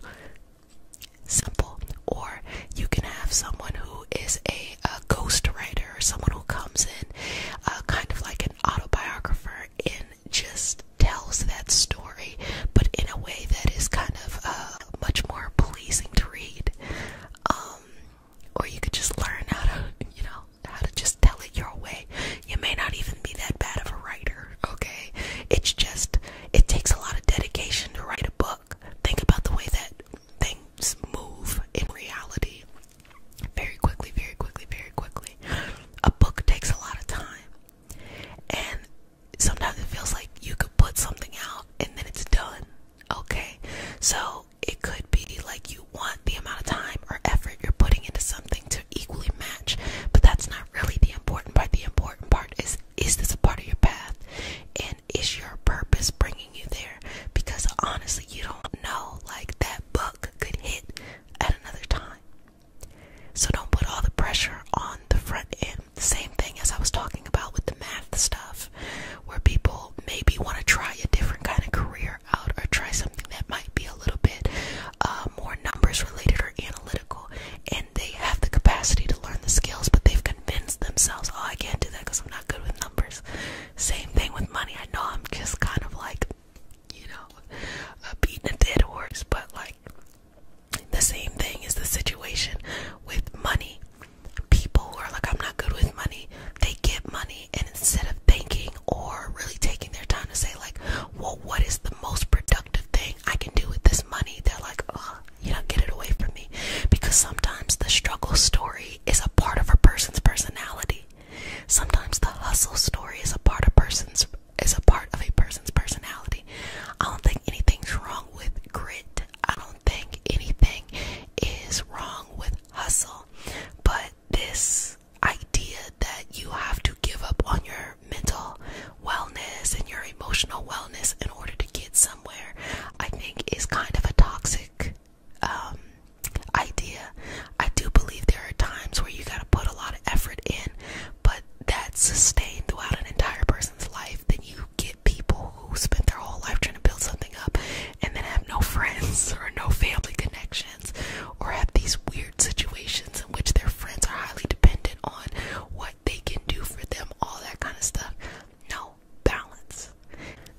Simple. Or you can have someone who is a, a ghostwriter or someone who comes in, uh, kind of like an autobiographer, and just tells that story, but in a way that is kind of uh, much more pleasing to read. Um, or you could just learn how to, you know, how to just tell it your way. You may not even be that bad of a writer, okay? It's just, it takes a lot of dedication to write a book. Think about the way that things move in reality. Very quickly, very quickly, very quickly. A book takes a lot of time. And sometimes it feels like you could put something out and then it's done. Okay, so it could be like you want the amount of time or effort you're putting into something to equally match, but that's not really the important part. The important part is is this a part of your path and is your purpose bringing you there? Because honestly, you don't know, like that book could hit at another time. So don't put all the pressure on the front end same thing as I was talking about with the math stuff, where people maybe want to try a different kind of career out or try something that might be a little bit uh, more numbers related or analytical, and they have the capacity to learn the skills, but they've convinced themselves, oh, I can't do that because I'm not good with numbers. Same thing with money. I know I'm just kind of like, you know, a beating a dead horse, but like the same thing is the situation with money. People who are like, I'm not good with money, they get money, and instead of thinking or really taking their time to say, like, well, what is the most productive thing I can do with this money? They're like, oh, you know, get it away from me. Because sometimes the struggle story is a part of a person's personality. Sometimes the hustle story is a part of person's is a part of a person's personality. I don't think anything's wrong with grit. I don't think anything is wrong with hustle. But this idea that you have to give up on your mental wellness and your emotional wellness in order to get somewhere, I think is kind of a toxic um, idea. I do believe there are times where you got to put a lot of effort in, but that's sustained throughout an entire person person's life, then you get people who spent their whole life trying to build something up and then have no *laughs* friends or no family connections or have these weird situations in which their friends are highly dependent on what they can do for them, all that kind of stuff. No balance.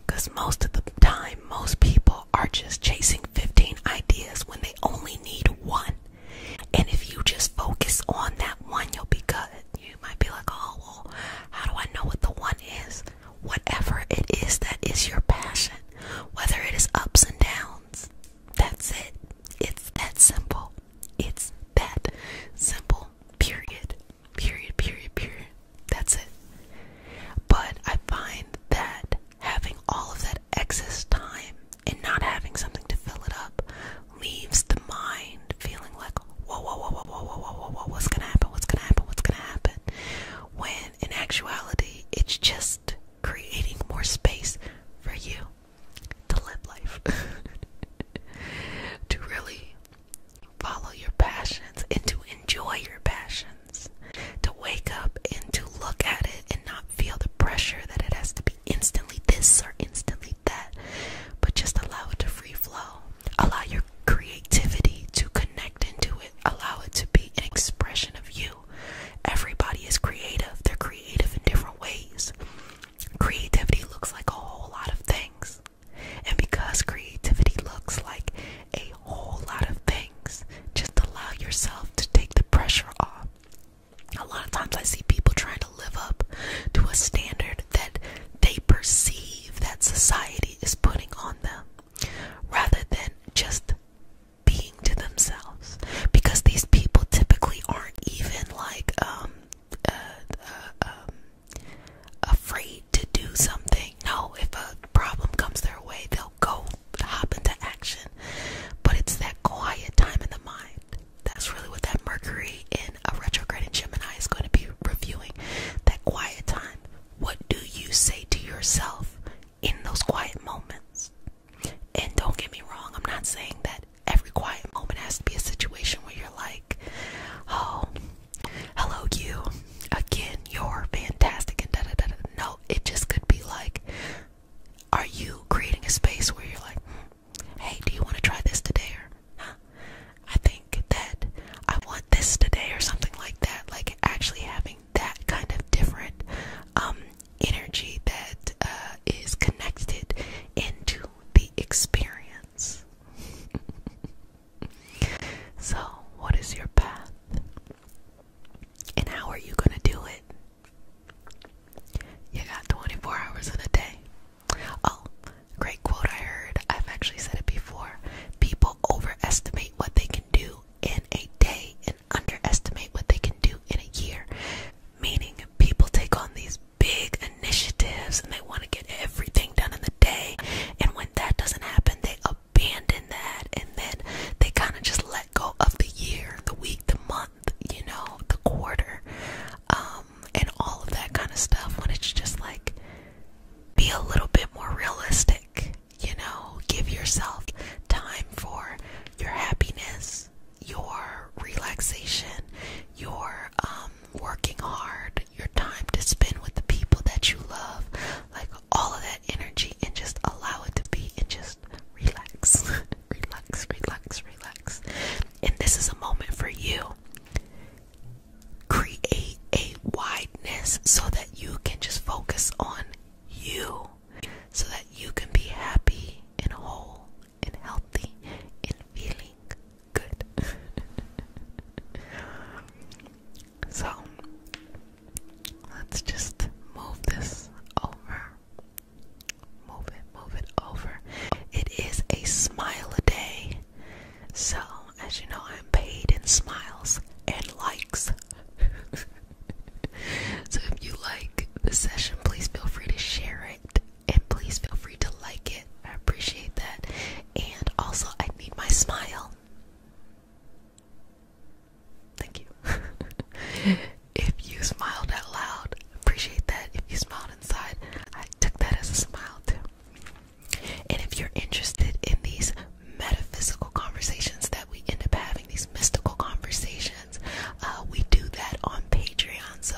Because most of the time, most people are just chasing 15 ideas when they only need one. And if you just focus on that one, you'll be good. You might be like, oh, well, how do I know what the one is? Whatever it is that is your passion, whether it is ups and downs, that's it. It's that simple. It's that simple. Period. Period, period, period. That's it. But I find that having all of that excess time and not having something to fill it up leaves the mind feeling like, whoa, whoa, whoa, whoa, whoa, whoa, whoa, whoa, what's gonna happen? What's gonna happen? What's gonna happen? When in actuality, it's just creating more space for you to live life, *laughs* to really follow your passions and to enjoy your passions, to wake up and to look at it and not feel the pressure that it has to be instantly this or instantly that, but just allow it to free flow. Allow your creativity to connect into it. Allow it to be an expression of you. Everybody is creative, they're creative in different ways. Creativity looks like a whole lot of things. And because creativity looks like a whole lot of things, just allow yourself to take the pressure off. A lot of times I see people trying to to live up to a standard that they perceive that society is putting on them rather than just being to themselves because these people typically aren't even like um, uh, uh, um afraid to do something no if a problem comes their way they'll go hop into action but it's that quiet time in the mind that's really what that Mercury in a retrograde in Gemini is going to be reviewing. That quiet time. What do you say to yourself in those quiet moments? And don't get me wrong, I'm not saying that every quiet moment has to be a situation where you're like, oh, hello, you. Again, you're fantastic and da da da. da. No, it just could be like, are you creating a space where you're like, hmm, Hey, do you want to try this today or I think that I want this today or something like that. Like actually having that kind of different um, energy that uh, is connected into the experience. *laughs* so, what is your path? And how are you going to do it? You got 24 hours in a day. Oh, great quote I heard. I've actually said it before. People overestimate what they can do in a day and underestimate what they can do in a year. Meaning, people take on these big initiatives and they want to get everything done in the day. And when that doesn't happen, they abandon that and then they kind of just let go of the year, the week, the month, you know, the quarter. Um, and all of that kind of stuff when it's just like be a little bit more realistic, you know, give yourself time for your happiness, your relaxation, your um, working hard, your time to spend with the people that you love, like all of that energy and just allow it to be and just relax. *laughs* relax, relax, relax. And this is a moment for you create a wideness so that you can just focus on you, so that you can be happy and whole and healthy and feeling good. *laughs* so, let's just move this over. Move it, move it over. It is a smile a day. So, as you know, I'm paid in smiles and likes. *laughs* so, if you like the session, please feel free to share it and please feel free to like it. I appreciate that. And also, I need my smile. Thank you. *laughs* if you smiled out loud, appreciate that. If you smiled inside, I took that as a smile too. And if you're interested in these metaphysical conversations that we end up having, these mystical conversations, uh, we do that on Patreon. So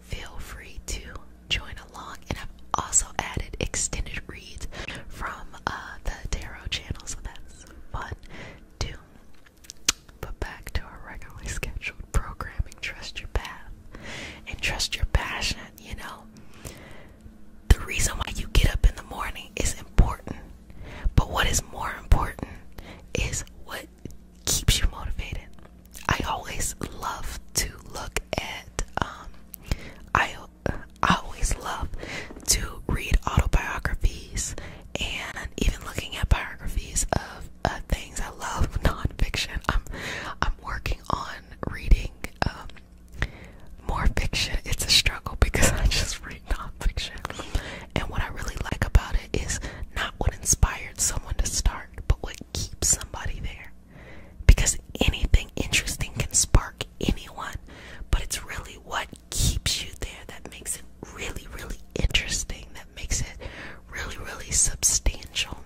feel free to join along. And I've also added extended reads from uh, the tarot channel, so that's fun too. But back to our regularly scheduled programming. Trust your path and trust your passion, you know. The reason why you get up in the morning is important, but what is more important is what keeps you motivated. I always love to look at, um, I, I always love to read autobiographies and even looking at biographies of uh, things. I love *laughs* nonfiction. I'm, I'm working on reading um, more fiction. It's a struggle because *laughs* I just read nonfiction. And what I really like about it is not what inspired someone to start, but what keeps somebody there. Because anything interesting can spark anyone, but it's really what keeps you there that makes it really, really interesting, that makes it really, really substantial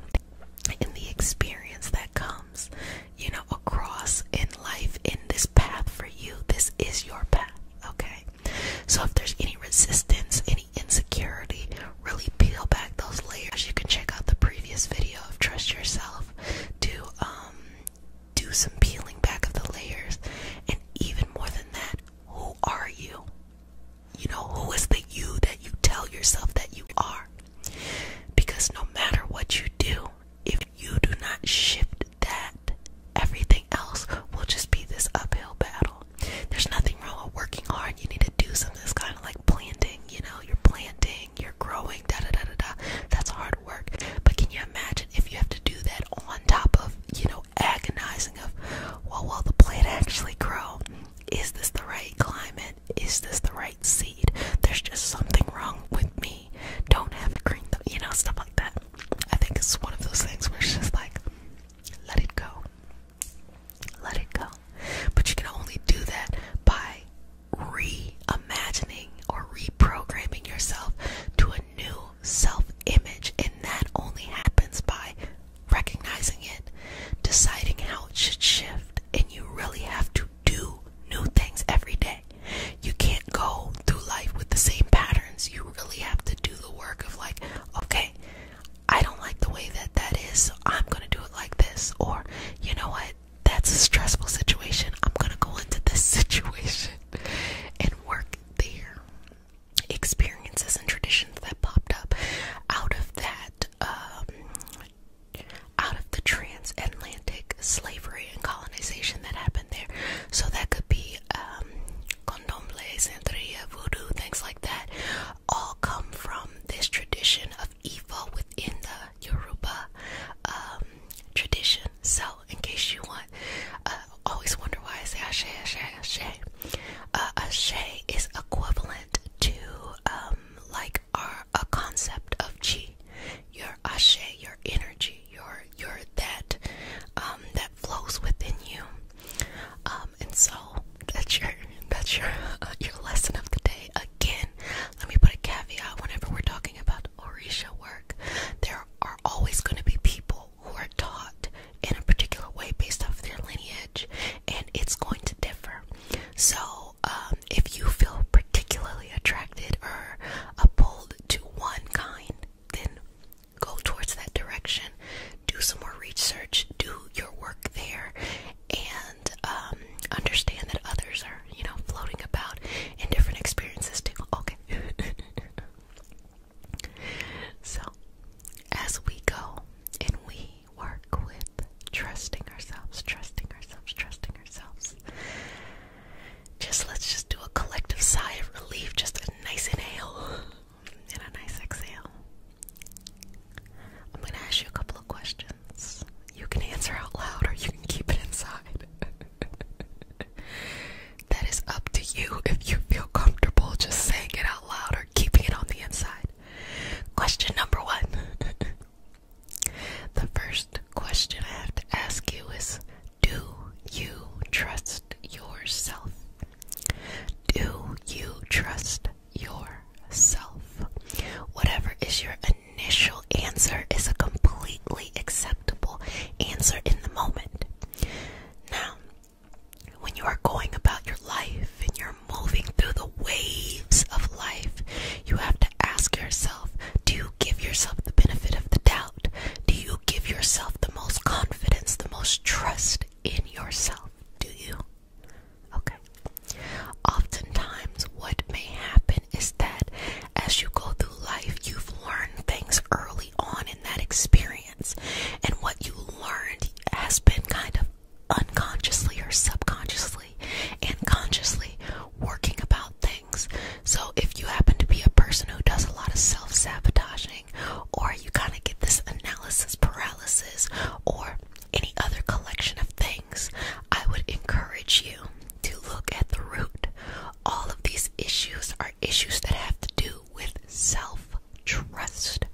and the experience that comes, you know, across in life in this path for you. This is your path, okay? So if there's any resistance, any insecurity, really peel back those layers. You can check out the previous video of Trust Yourself to um, do some peeling back of the layers and even more than that, who are you? You know, who is the you that you tell yourself that you are? Because no matter what you do, if you do not shift that, everything else will just be this uphill battle. There's nothing wrong with working hard. You need to do something that's kind of like planting, you know, you're planting, you're growing, da da da da da. That's hard work. But can you imagine if you have to do that on top of, you know, agonizing of, well, will the plant actually grow? Is this the right climate? Is this the right seed? There's just something wrong with me. Don't have green, th you know, stuff like that. I think it's one of those things where it's just like, let it go. Let it go. But you can only do that by reimagining or reprogramming yourself to a new self image. And that only happens by recognizing it, deciding how it should shift, and you really have to do new things every day. You can't go through life with the same patterns. You really have to do the work of, like, okay, I don't like the way that that is, so I'm gonna do it like this. Or, you know what, that's a stressful situation. I'm gonna go into this *laughs* situation and work there. Experiences and traditions that popped up out of that um, out of the transatlantic slavery and colonization that happened there. So that could be um, condomble, santeria, voodoo, things like that, all come from this tradition of Ifa within the Yoruba um, tradition. So, in case you want, uh, always wonder why I say ashe, ashe, ashe. Uh, ashe is equivalent to um, like are a concept of chi, your ashe, your energy, your your that um, that flows within you. Um, and so that's your that's your *laughs* your lesson of the day. Again, let me put a caveat. Whenever we're talking about orisha work, there are always going to be people who are taught in a particular way based off their lineage, and it's going to differ. So. Uh, um, if you feel particularly attracted or appalled to one kind, then go towards that direction. Do some more research. Do your work there, and um, understand that others are, you know, floating about in different experiences too. Okay. *laughs* so, as we go and we we work with trusting ourselves, trusting ourselves, trusting ourselves. Just let's just do a collective sigh of relief, just a nice inhale and a nice exhale. I'm going to ask you a couple of questions. You can answer out loud or you can keep it inside. *laughs* that is up to you if you feel comfortable just saying it out loud or keeping it on the inside. Question number one *laughs* The first question I have to ask you is Do you trust yourself? Do you trust yourself? Whatever is your initial answer is a completely acceptable answer in the moment. Now, when you are going about your life and your moving through the waves of life, you have to ask yourself do you give yourself the benefit of the doubt? Do you give yourself the most confidence, the most trust in yourself? Do you? Okay. Oftentimes, what may happen is that as you go through life, you've learned things early on in that experience, and what you learned has been kind of unconsciously or subconsciously and consciously working about things. So if you happen to be a person who does a lot of self-sabotaging or you kind of get this analysis paralysis or any other collection of things, I would encourage you to look at the root. All of these issues are issues that have to do with self trust,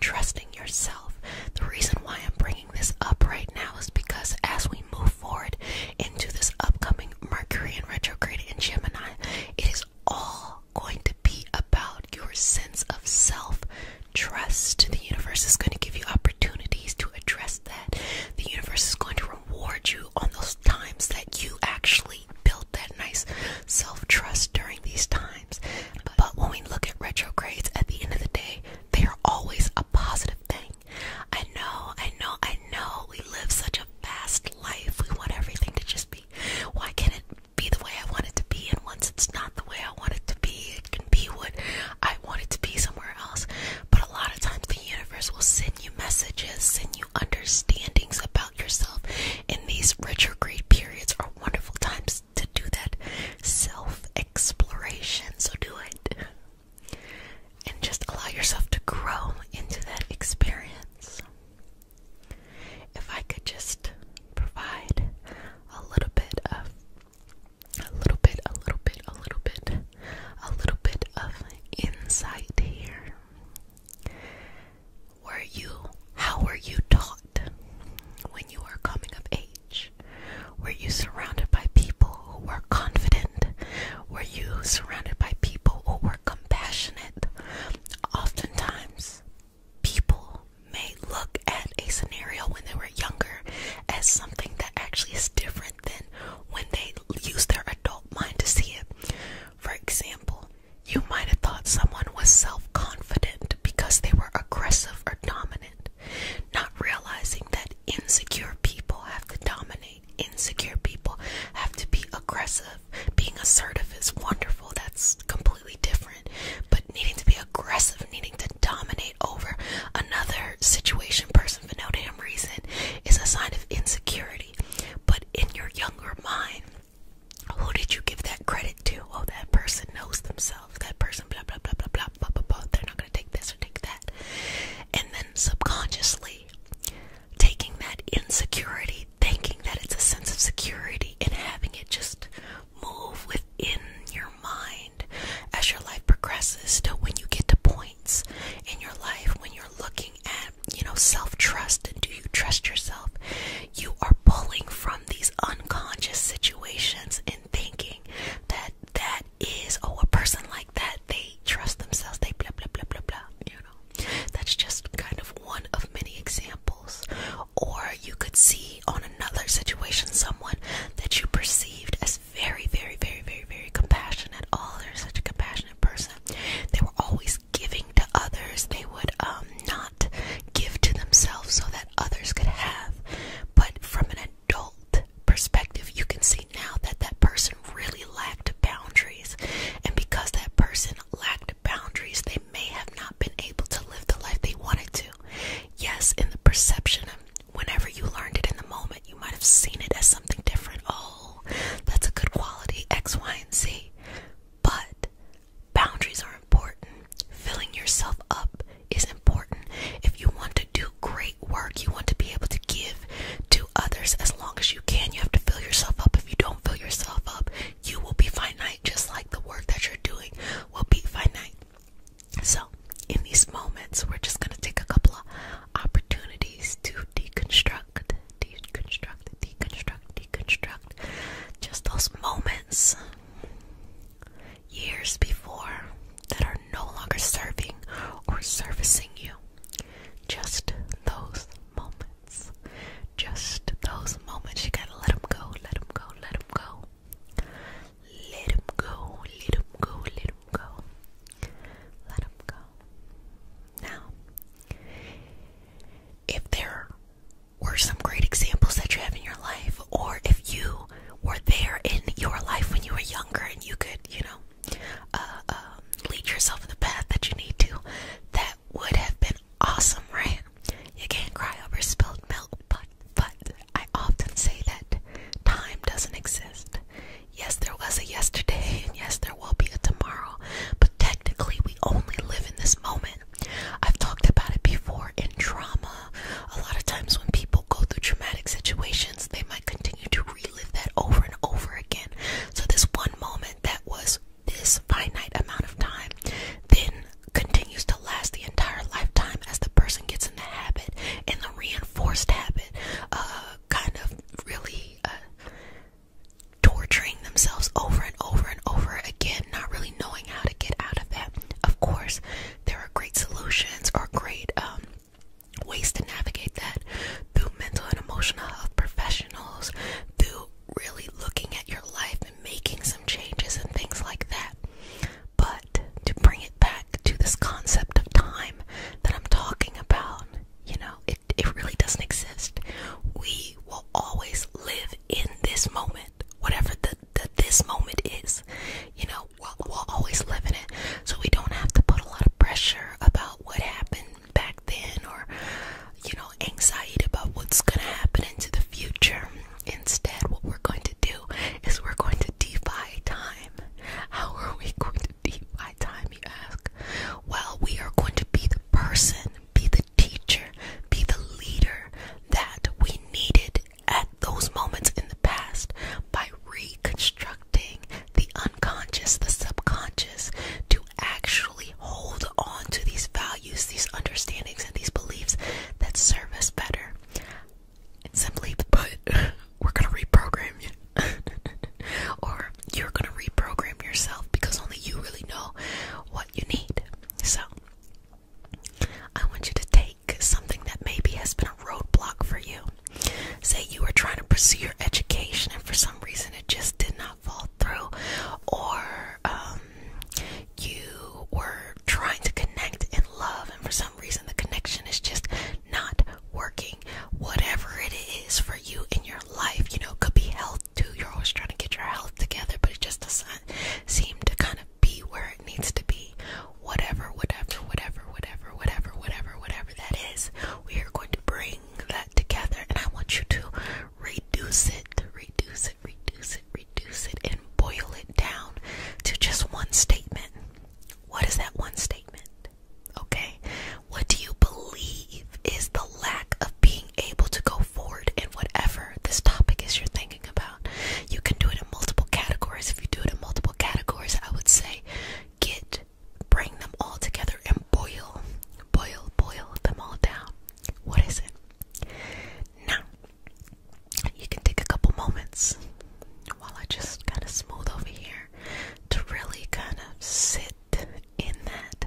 trusting yourself. The reason why I'm bringing this up right now is because as we move forward into this upcoming Mercury and retrograde in Gemini, it is all going to be about your sense of self trust. The universe is going to give you opportunities to address that. The universe is going to reward you on those times that you actually built that nice self trust during these times. But when we look at retrogrades at the end of the day, they are always a positive I know, I know, I know we live such a fast life. We want everything to just be why can't it be the way I want it to be? And once it's not the way I want it to be, it can be what I want it to be somewhere else. But a lot of times the universe will send you messages, send you understandings about yourself. And these retrograde periods are wonderful times to do that self exploration. So do it and just allow yourself to grow into that experience. If I could just provide a little bit of a little bit, a little bit, a little bit, a little bit of insight here. Were you, how were you taught when you were coming of age? Were you surrounded by people who were confident? Were you surrounded by people who were compassionate? Oftentimes, people may look at a scenario when they were younger as something that actually is different than when they use their adult mind to see it. For example, you might have thought someone was self confident because they were aggressive or dominant not realizing that insecure people have to dominate, insecure people have to be aggressive. Being assertive is wonderful, that's completely different, but needing to be aggressive, needing to dominate over another situation, person for no damn reason is a sign of insecurity. But in your younger mind, who did you give that credit to? Oh, that person knows themselves. That person, blah blah blah blah blah blah blah. blah. They're not take this or take that. And then subconsciously taking that insecurity, thinking that it's a sense of security, and having it just move within your mind as your life progresses So when you get to points in your life when you're looking at, you know, self trust and do you trust yourself? You are pulling from these unconscious situations and thinking that that is, oh, a person like that, they trust themselves, they blah, blah, blah, blah, blah, you know. That's just kind of one of many examples. Or you could see on another situation someone that you perceived as very, very, very, very, very compassionate. Oh, they're such a compassionate person. They were always giving to others. They would um, not give to themselves so that others could have. But from an adult perspective, you can see now that that person really lacked boundaries. And because that person lacked boundaries, they may have not been able to live the life they wanted to. Yes, in the perception of whenever you learned it in the moment, you might have seen it as something different. Oh, that's a good quality, X, Y, and Z. But boundaries are important. Filling yourself up is important. If you want to do great work, you want to be able to give to others as long as you can. You have to fill yourself up. If you don't fill yourself up, you will be finite, just like the work that you're doing will be finite. So, in these moments, we're just going to take a couple of opportunities to deconstruct, deconstruct, deconstruct, deconstruct. Just those moments years before that are no longer serving or servicing you. Just those moments. Just those moments. You gotta let them go, let them go, let them go. Let them go, let them go, let them go. Let them go. Now, if there were some great examples that you have in your life, or if you were there in your life when you were younger and you could, you know, uh, um, lead yourself in the path that you need to, that would have been awesome, right? You can't cry over spilled milk, but but I often say that time doesn't exist. Yes, there was a yesterday, and yes, there will be a tomorrow, but technically, we only live in this moment. I've talked about it before in trauma. A lot of times, when people go through traumatic situations, they might continue to relive that over and over again. So, this one moment that was this finite amount of time then continues to last the entire lifetime as the person gets in the habit and the reinforced habit, uh, kind of really uh, torturing themselves over and over and over again, not really knowing how to get out of that. Of course, there are great solutions or great um, ways to navigate that through mental and emotional health professionals, through really looking at your life and making some changes and things like that. But to bring it back to this concept of time that I'm talking about, you know, it, it really doesn't exist. We will always live in this moment, whatever the, the this moment is. You know, we'll, we'll always live in it. So we don't have to put a lot of pressure about what happened back then or, you know, anxiety about what's going to happen into the future. Instead, what we're going to do is we're going to defy time. How are we going to defy time, you ask? Well, we are going to be the person, be the teacher, be the leader that we needed at those moments in the past by reconstructing instructing the unconscious, the subconscious, to actually hold on to these values, these understandings, and these beliefs that serve us better. simply put, *laughs* we're going to reprogram you. *laughs* or you're going to reprogram yourself because only you really know what you need. So, I want you to take something that maybe has been a roadblock for you Say you were trying to pursue your education and for some reason it just did not fall through, or um, you were trying to connect in love and for some reason the connection is just not working. Whatever it is for you in your life, you know, it could be health too. You're always trying to get your health together, but it just doesn't seem to kind of be where it needs to be. Whatever, whatever, whatever, whatever, whatever, whatever, whatever that is, we are going to bring that together and I want you to reduce it, reduce it, reduce it, reduce it, and boil it down to just one statement. What is that one statement? Okay, what do you believe is the lack of being able to go forward in whatever this topic is you're thinking about? You can do it in multiple categories. If you do it in multiple categories, I would say get bring them all together and boil, boil, boil them all down. What is it? Now, you can take a couple moments while I just kind of smooth over here to really kind of sit in that.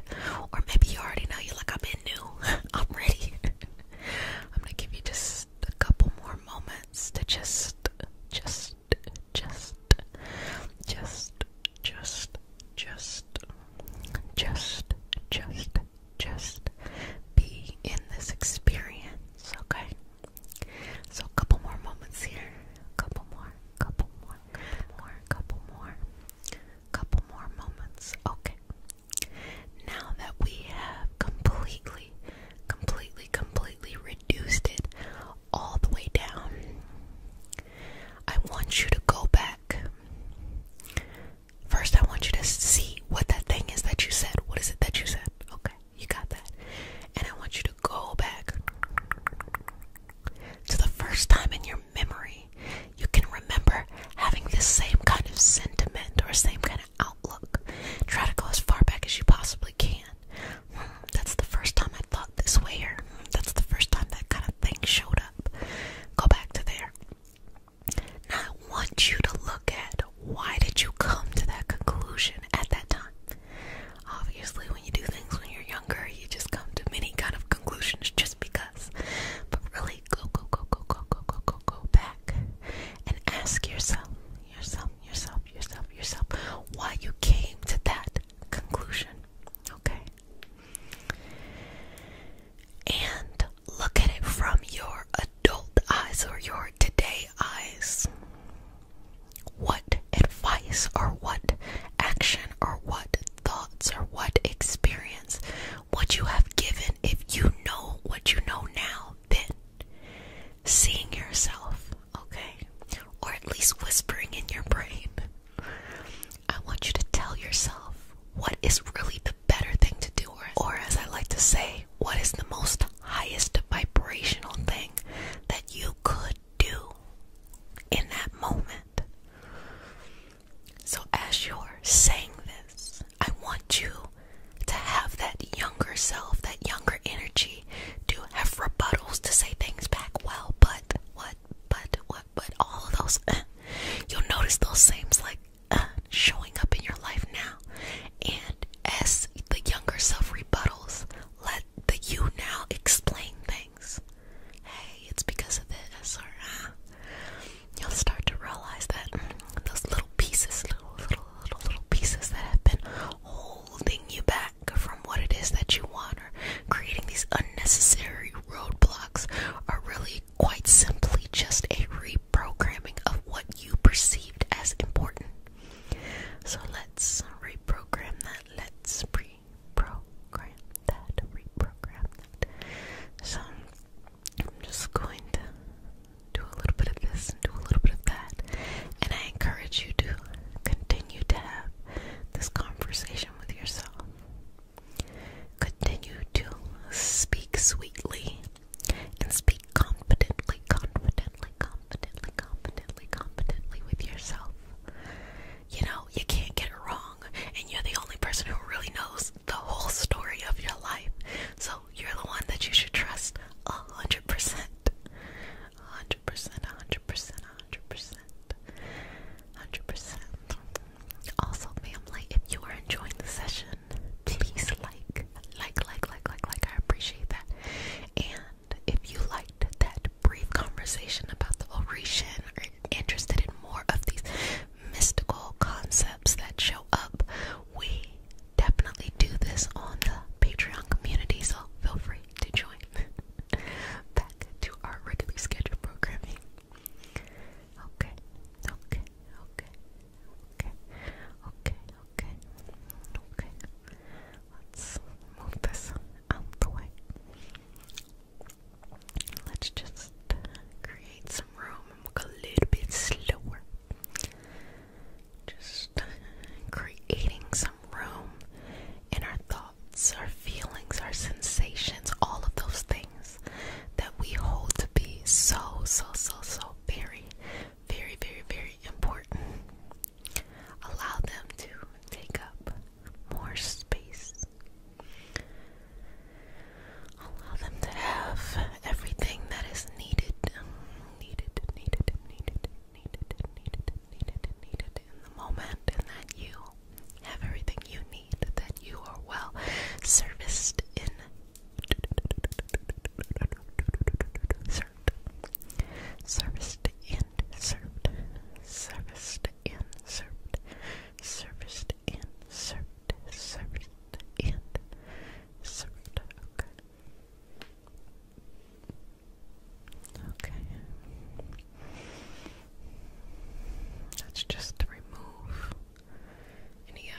Or maybe you already know you like, I'm in new, *laughs* I'm ready. *laughs* I'm gonna give you just a couple more moments to just, just just, just, just, just, just, just, just be in this experience, okay? So, a couple more moments here. A couple more, a couple more, couple more, couple more, couple more moments. Okay. Now that we have completely, completely, completely reduced it all the way down. I want you to go back. First, I want you to see what that thing is that you said. What is it that you said? Okay, you got that. And I want you to go back to the first time in your memory you can remember having this same kind of sentiment or same kind of outlook. Try to go as far back as you possibly can that's the first time I thought this way, that's the first time that kind of thing showed up. Go back to there. I want you to look at why did you come to that conclusion at that time? Obviously, when you do things when you're younger, you just come to many kind of conclusions just because. But really, go, go, go, go, go, go, go, go, go back and ask yourself, yourself, yourself, yourself, yourself, why you came to that conclusion. Okay? And look at it from your adult eyes or your today eyes. What advice or what action or what thoughts or what experience would you have given if you know what you know now then? Seeing yourself okay? Or at least whispering in your brain. I want you to tell yourself what is really the better thing to do, or, or as I like to say, what is the most highest vibrational thing that you could do in that moment. So, as you're saying this, I want you to have that younger self, that younger energy do have rebuttals to say things back well, but what, but what, but all of those, uh, you'll notice those same's like uh, showing up in your life now. And as the younger self rebuttals, let the you now explain things. Hey, it's because of this, or uh, you'll start to realize that mm, those little pieces, little, little, little, little pieces that have been holding you back from what it is that you want or creating these unnecessary roadblocks are really quite simply just a reprogramming of what you perceived as important. So let's reprogram that. Let's reprogram that. Reprogram that. So I'm just going to do a little bit of this and do a little bit of that. And I encourage you to continue to have this conversation with yourself. Continue to speak sweetly and speak confidently, confidently, confidently, confidently, confidently with yourself. You know, you can't get it wrong, and you're the only person who really knows the whole story of your life. So you're the one that you should trust a hundred percent hundred percent, hundred percent, hundred percent, hundred percent. Also, family, if you are enjoying the session, please like, like, like, like, like, like. I appreciate that. And if you liked that brief conversation about the oration, or interested in more of these mystical concepts that show up, we definitely do this on the Patreon community. So feel free to join. *laughs* Back to our regularly scheduled programming. Okay, okay, okay, okay, okay, okay, okay. Let's move this out the way. Let's just create some room and look a little bit slower. Just creating room in our thoughts, our feelings, our sensations, all of those things that we hold to be so, so, so, so very, very, very, very important. Allow them to take up more space. Allow them to have everything that is needed, needed, needed, needed, needed, needed, needed, needed, needed, in the moment and that you have everything you need, that you are well serviced in served, serviced and served, serviced and served, serviced and served, serviced and served. Okay. Okay. Let's just remove any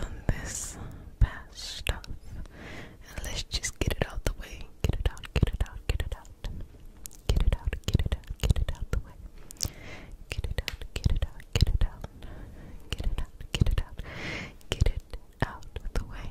of this past stuff. And let's just get it out the way. Get it out, get it out, get it out. Get it out, get it out, get it out the way. Get it out, get it out, get it out. Get it out, get it out. Get it out the way.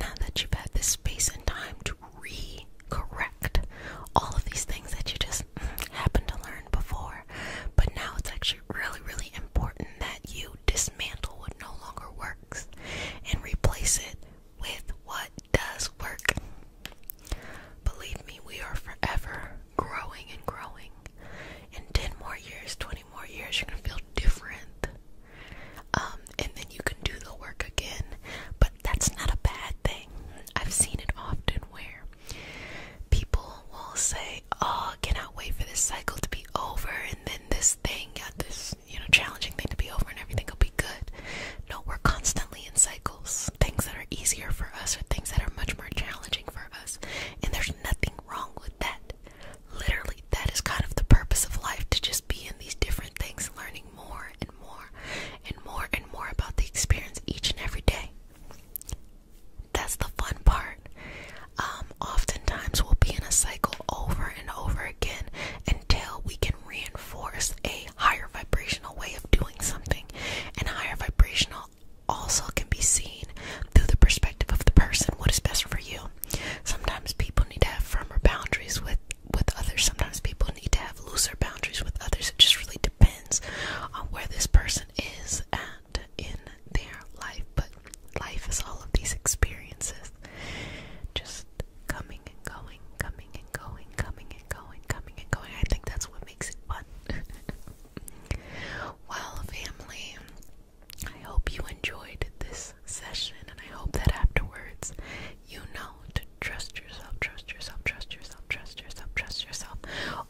Now that you've had this space and time to re correct all of these things that you just mm, happened to learn before, but now it's actually really, really important that you dismantle what no longer works and replace it with what does work. Believe me, we are forever growing and growing. In 10 more years, 20 more years, you're gonna feel different. Um, and then you can do the work again. But that's not a bad thing. I've seen it often where people will say, "Oh, I cannot wait for this cycle to be over," and then this thing, yeah, this you know, challenging thing to be over, and everything will be good. No, we're constantly in cycles. Things that are easier for us are things that are much more challenging for us, and there's nothing wrong with that. Literally that is kind of the purpose of life to just be in these different things, learning more and more and more and more about the experience each and every day. That's the fun part. Um, oftentimes, we'll be in a cycle over and over again until we can reinforce a higher vibrational way of doing something. And higher vibrational also can be seen through the perspective of the person what is best for you. Sometimes people need to have firmer boundaries with with others sometimes people need to have looser boundaries with others it just really depends on where this person is at in their life but life is all of these experiences just coming and going coming and going coming and going coming and going i think that's what makes it fun *laughs* well family i hope you enjoyed this session, and I hope that afterwards you know to trust yourself, trust yourself, trust yourself, trust yourself, trust yourself,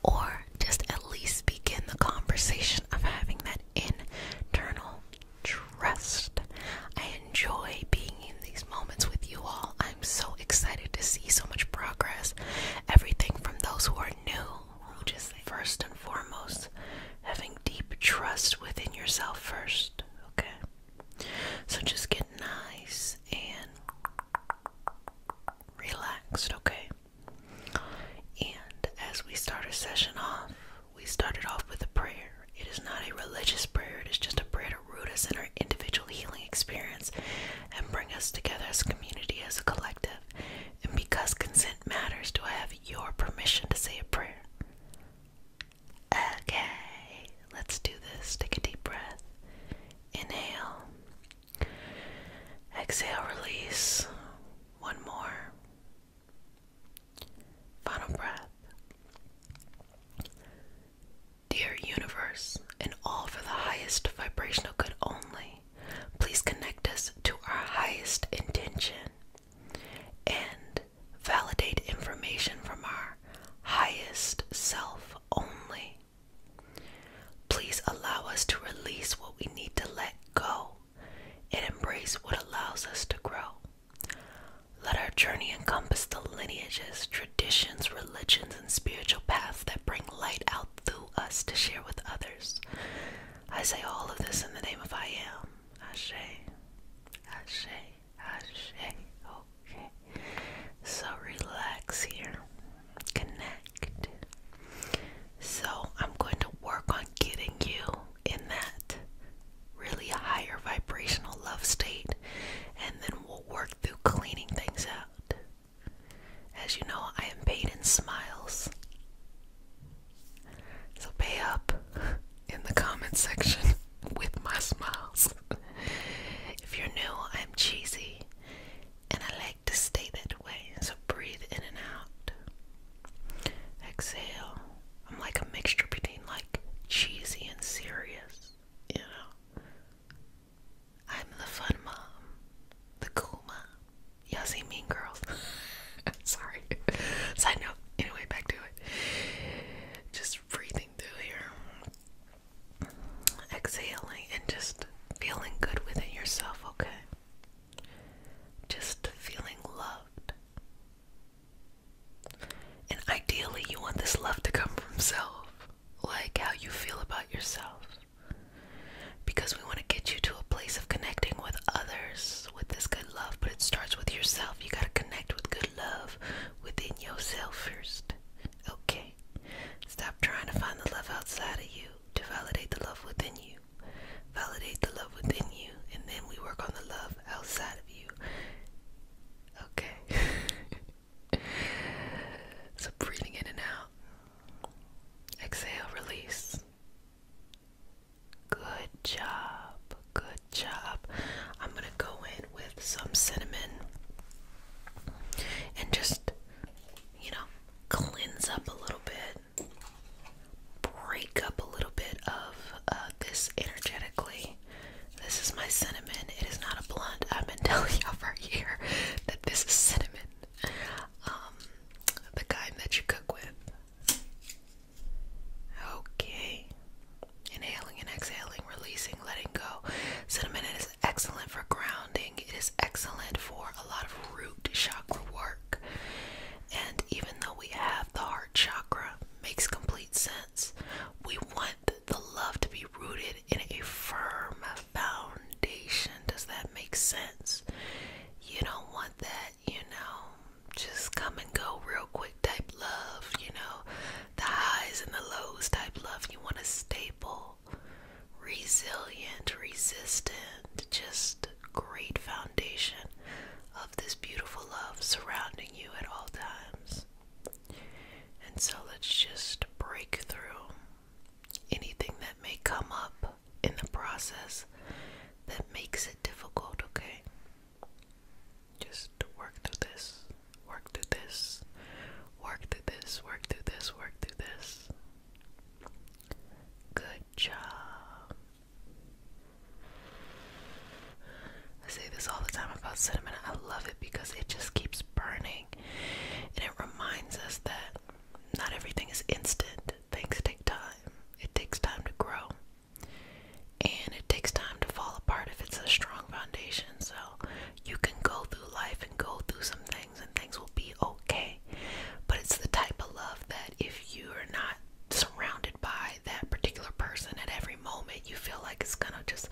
or just at least begin the conversation of having that internal trust. I enjoy being in these moments with you all. I'm so excited to see so much progress. Everything from those who are new, who just first and foremost, having deep trust within yourself first, okay? So just get nice and relaxed, okay? And as we start our session off, we started off with a prayer. It is not a religious prayer, it is just a prayer to root us in our individual healing experience and bring us together as a community, as a collective. And because consent matters, do I have your permission to say a prayer? Okay, let's do this. Take a deep breath. Inhale. Exhale, release. One more. Final breath. Dear universe, and all for the highest vibrational good only, please connect us to our highest intention and validate information from our highest self only. Please allow us to release what we need to let go and embrace what allows us to grow. Let our journey encompass the lineages, traditions, religions, and spiritual paths that bring light out through us to share with others. I say all of this in the name of I am. Ashe. Ashe. Okay. So relax here. Connect. So I'm going to work on getting you in that really higher vibrational love state and then we'll work through cleaning things out. As you know, I am paid in smiles. So pay up in the comment section *laughs* with my smiles. if you're new, I'm cheesy and I like to stay that way. So breathe in and out. Exhale. I'm like a mixture between like cheesy and serious, you know. I'm the fun mom, the cool mom. Y'all see Mean Girls? *laughs* Sorry. *laughs* Side note. Anyway, back to it. Just breathe exhaling, and just feeling good within yourself, okay? Just feeling loved. And ideally, you want this love to come from self, like how you feel about yourself. Because we want to get you to a place of connecting with others with this good love, but it starts with yourself. You got to connect with good love, within yourself first. Okay? Stop trying to find the love outside of you to validate the love within you. Validate the love within you, and then we work on the love outside of you. Okay? *laughs* so breathing in and out. Exhale, release. Good job. Good job. I'm gonna go in with some cinnamon and just, you know, cleanse up a little bit, break up a little bit of uh, this energetically. This is my cinnamon. It is not a blunt. I've been *laughs* telling you for a year that this is cinnamon. Um, the kind that you cook with. Okay. Inhaling and exhaling, releasing, letting go. Cinnamon is excellent for grounding. It is excellent for a lot of root chakra work. And even though we have the heart chakra, makes complete sense. We want the love to be rooted in a firm foundation. Does that make sense? You don't want that, you know, just come and go real quick type love, you know the highs and the lows type love. You want a stable, resilient, resistant, just great foundation of this beautiful love surrounding you at all times. And so let's just break through anything that may come up in the process that makes it difficult, okay? Just work through this, work through this, work through this, work through this, work through this. Good job. I say this all the time about cinnamon. I love it because it just keeps burning. And it reminds us that not everything is instant. Things take time. It takes time to grow and it takes time to fall apart if it's a strong foundation. So you can go through life and go through some things, and things will be okay. But it's the type of love that if you are not surrounded by that particular person at every moment, you feel like it's gonna just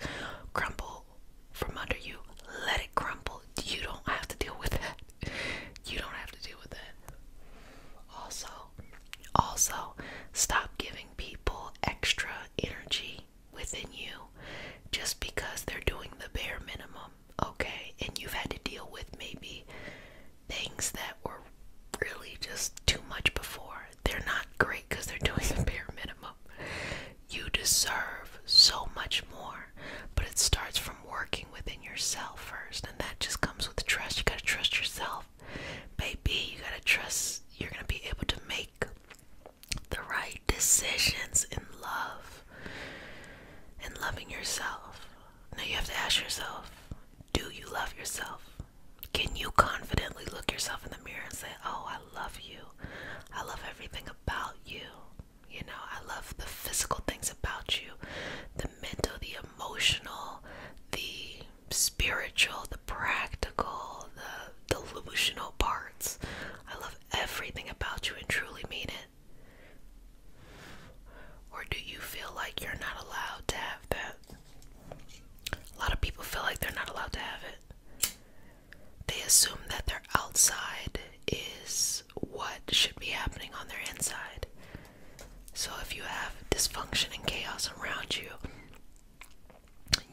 crumble from under you. Let it crumble. You don't have to deal with it. You don't have to deal with it. Also, also, stop giving people extra energy within you just because they're doing the bare minimum, okay? And you've had to deal with maybe things that were really just too much before. They're not great because they're doing the *laughs* bare minimum. You deserve so much more, but it starts from working within yourself first, and that just comes with trust. You gotta trust yourself, baby. You gotta trust you're gonna be able to make the right decisions in love and loving yourself. Now you have to ask yourself do you love yourself? Can you confidently look yourself in the mirror and say, Oh, I love you. I love everything about you. You know, I love the physical things about you, the mental, the emotional, the spiritual, the practical, the delusional parts. I love everything about you and truly mean it. Or do you feel like you're not allowed to have that? A lot of people feel like they're not allowed to have it. They assume that their outside is what should be happening on their inside. So if you have dysfunction and chaos around you,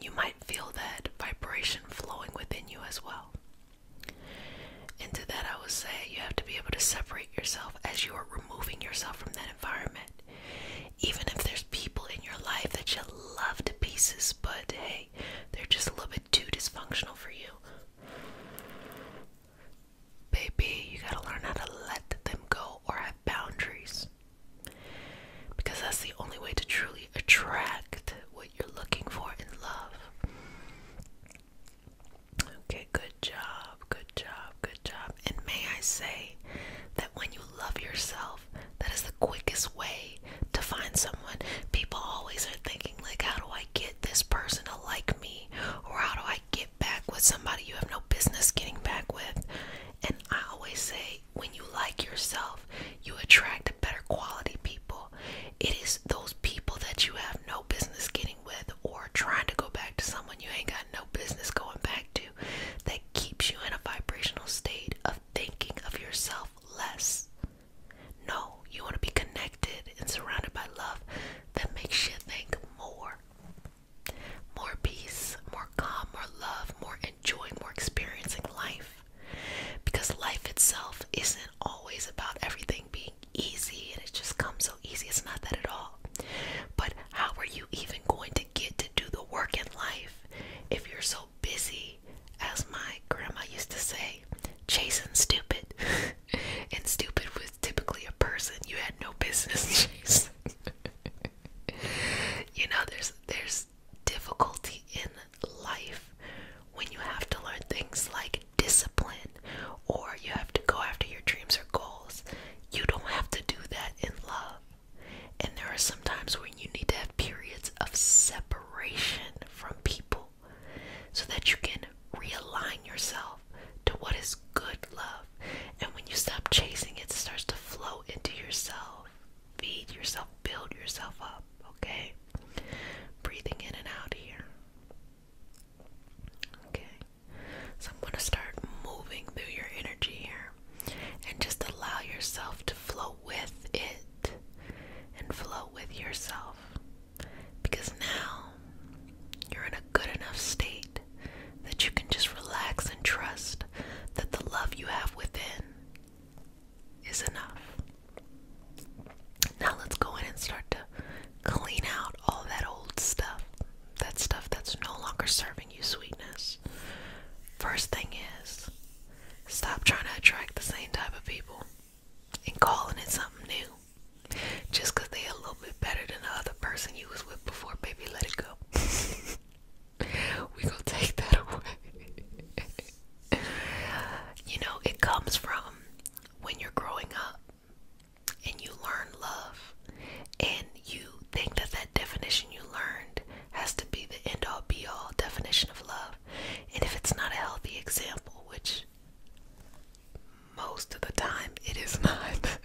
you might feel that vibration flowing within you as well. And to that, I would say you have to be able to separate yourself as you are removing yourself from that environment. Even if there's people in your life that you love to pieces, but hey, they're just a little bit too dysfunctional for you. Baby, you gotta learn how to let them go or have boundaries. Because that's the only way to truly attract what you're looking for in love. Okay, good job, good job, good job. And may I say that when you love yourself, that is the quickest way to find someone. People always are thinking, like, how do I get this person to like me? Or how do I get back with somebody you have no business getting back with? And I always say, when you like yourself, you attract better quality people. It is those people that you have no business getting with or trying to go back to someone you ain't got no business going back to that keeps you in a vibrational state of thinking of yourself less. No, you want to be connected and surrounded by love that makes you think more. More peace, more calm, more love, more enjoying, more experiencing life because life itself isn't always about everything being easy and it just comes so easy. It's not that at all. But how are you even going to get to do the work in life if you're so busy, as my grandma used to say, chasing stupid? *laughs* and stupid was typically a person you had no business *laughs* chasing. *laughs* you know, there's there's difficulty in life when you have to learn things like discipline or you have to go after your dreams or goals. You don't have to do that in love. And there are some times when you need to have periods of separation from people so that you can realign yourself to what is good love. And when you stop chasing it, it starts to flow into yourself. Feed yourself, build yourself up okay? Breathing in and out here. Okay. So I'm going to start moving through your energy here and just allow yourself to flow with it and flow with yourself. Because now you're in a good enough state that you can just relax and trust that the love you have within is enough. Now let's go in and start to clean out all that old stuff. That stuff that's no longer serving you sweetness. First thing is stop trying to attract the same type of people and calling it something new. Just because they a little bit better than the other person you was with before, baby, let it go. *laughs* we gonna take that *laughs* away. you know, it comes from when you're growing up and you learn love, and you think that that definition you learned has to be the end all be all definition of love. And if it's not a healthy example, which most of the time it is *laughs* not,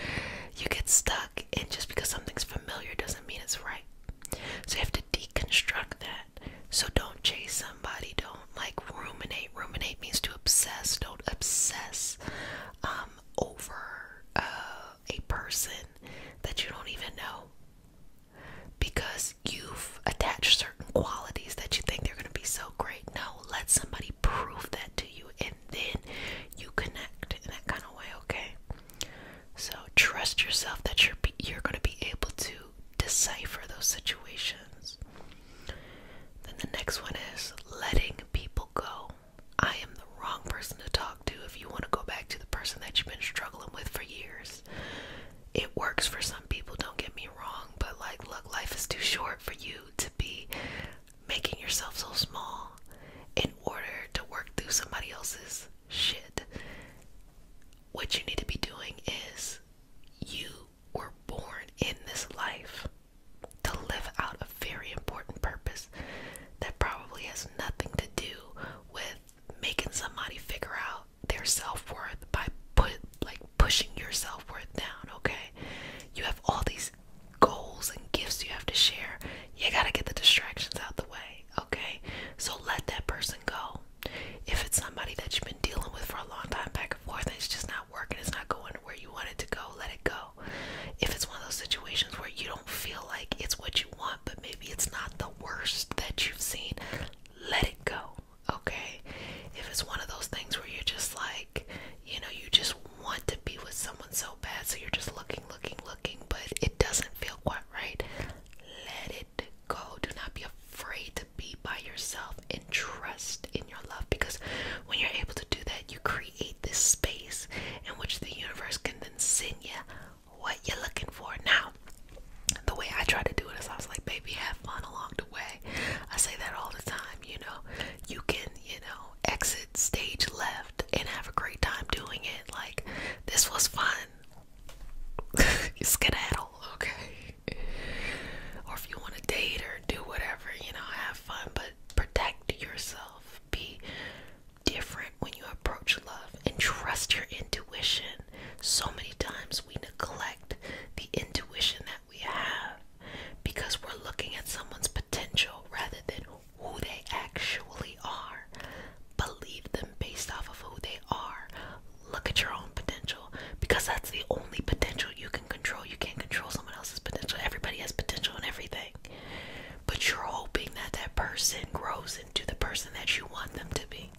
*laughs* you get stuck, and just because something's familiar doesn't mean it's right. So you have to deconstruct that. So don't chase somebody. Don't like ruminate. Ruminate means to obsess. Don't obsess um, over uh, a person that you don't even know because you've attached certain qualities that you think they're going to be so great. No, let somebody prove that to you and then you connect in that kind of way, okay? So trust yourself that you're you're going to be able to decipher those situations. Then the next one is letting people go. I am the wrong person to talk to if you want to go back to the person that you've been struggling with for years. It works for some people, don't get me wrong, but like look, life is too short for you to be making yourself so small in order to work through somebody else's shit. What you need to be doing is you were born in this life to live out a very important purpose that probably has nothing to do with making somebody figure out their self-worth by put like pushing your self-worth down, okay? You have all these goals and gifts you have to share. You got to get the distractions out the way, okay? So let that person go. If it's somebody that you've been dealing with for a long time, back and forth, and it's just not working, it's not going where you want it to go, let it go. If it's one of those situations where you don't feel like it's what you want, but maybe it's not the worst that you've seen, let it go, okay? If it's one of those things where you're just like, you know, you just want to be with someone so bad, so you're just looking, looking, looking, but it doesn't feel quite right, let it go. Do not be afraid to be by yourself and trust in your love because when you're able to do that, you create this space in which the universe can then send you what you're looking for. Now, the way I try to do it is I was like, baby, have fun along the way. I say that all the time, you know. You can, you know, exit stage left and have a great time doing it. Like, this was fun. *laughs* you skedaddle, okay? Or if you want to date or do whatever, you know, have fun, but protect yourself. Be different when you approach love and trust your intuition. So many times we neglect the intuition that we have because we're looking at someone's potential rather than who they actually are. Believe them based off of who they are. Look at your own potential because that's the only potential you can control. You can't control someone else's potential. Everybody has potential in everything. But you're hoping that that person grows into the person that you want them to be.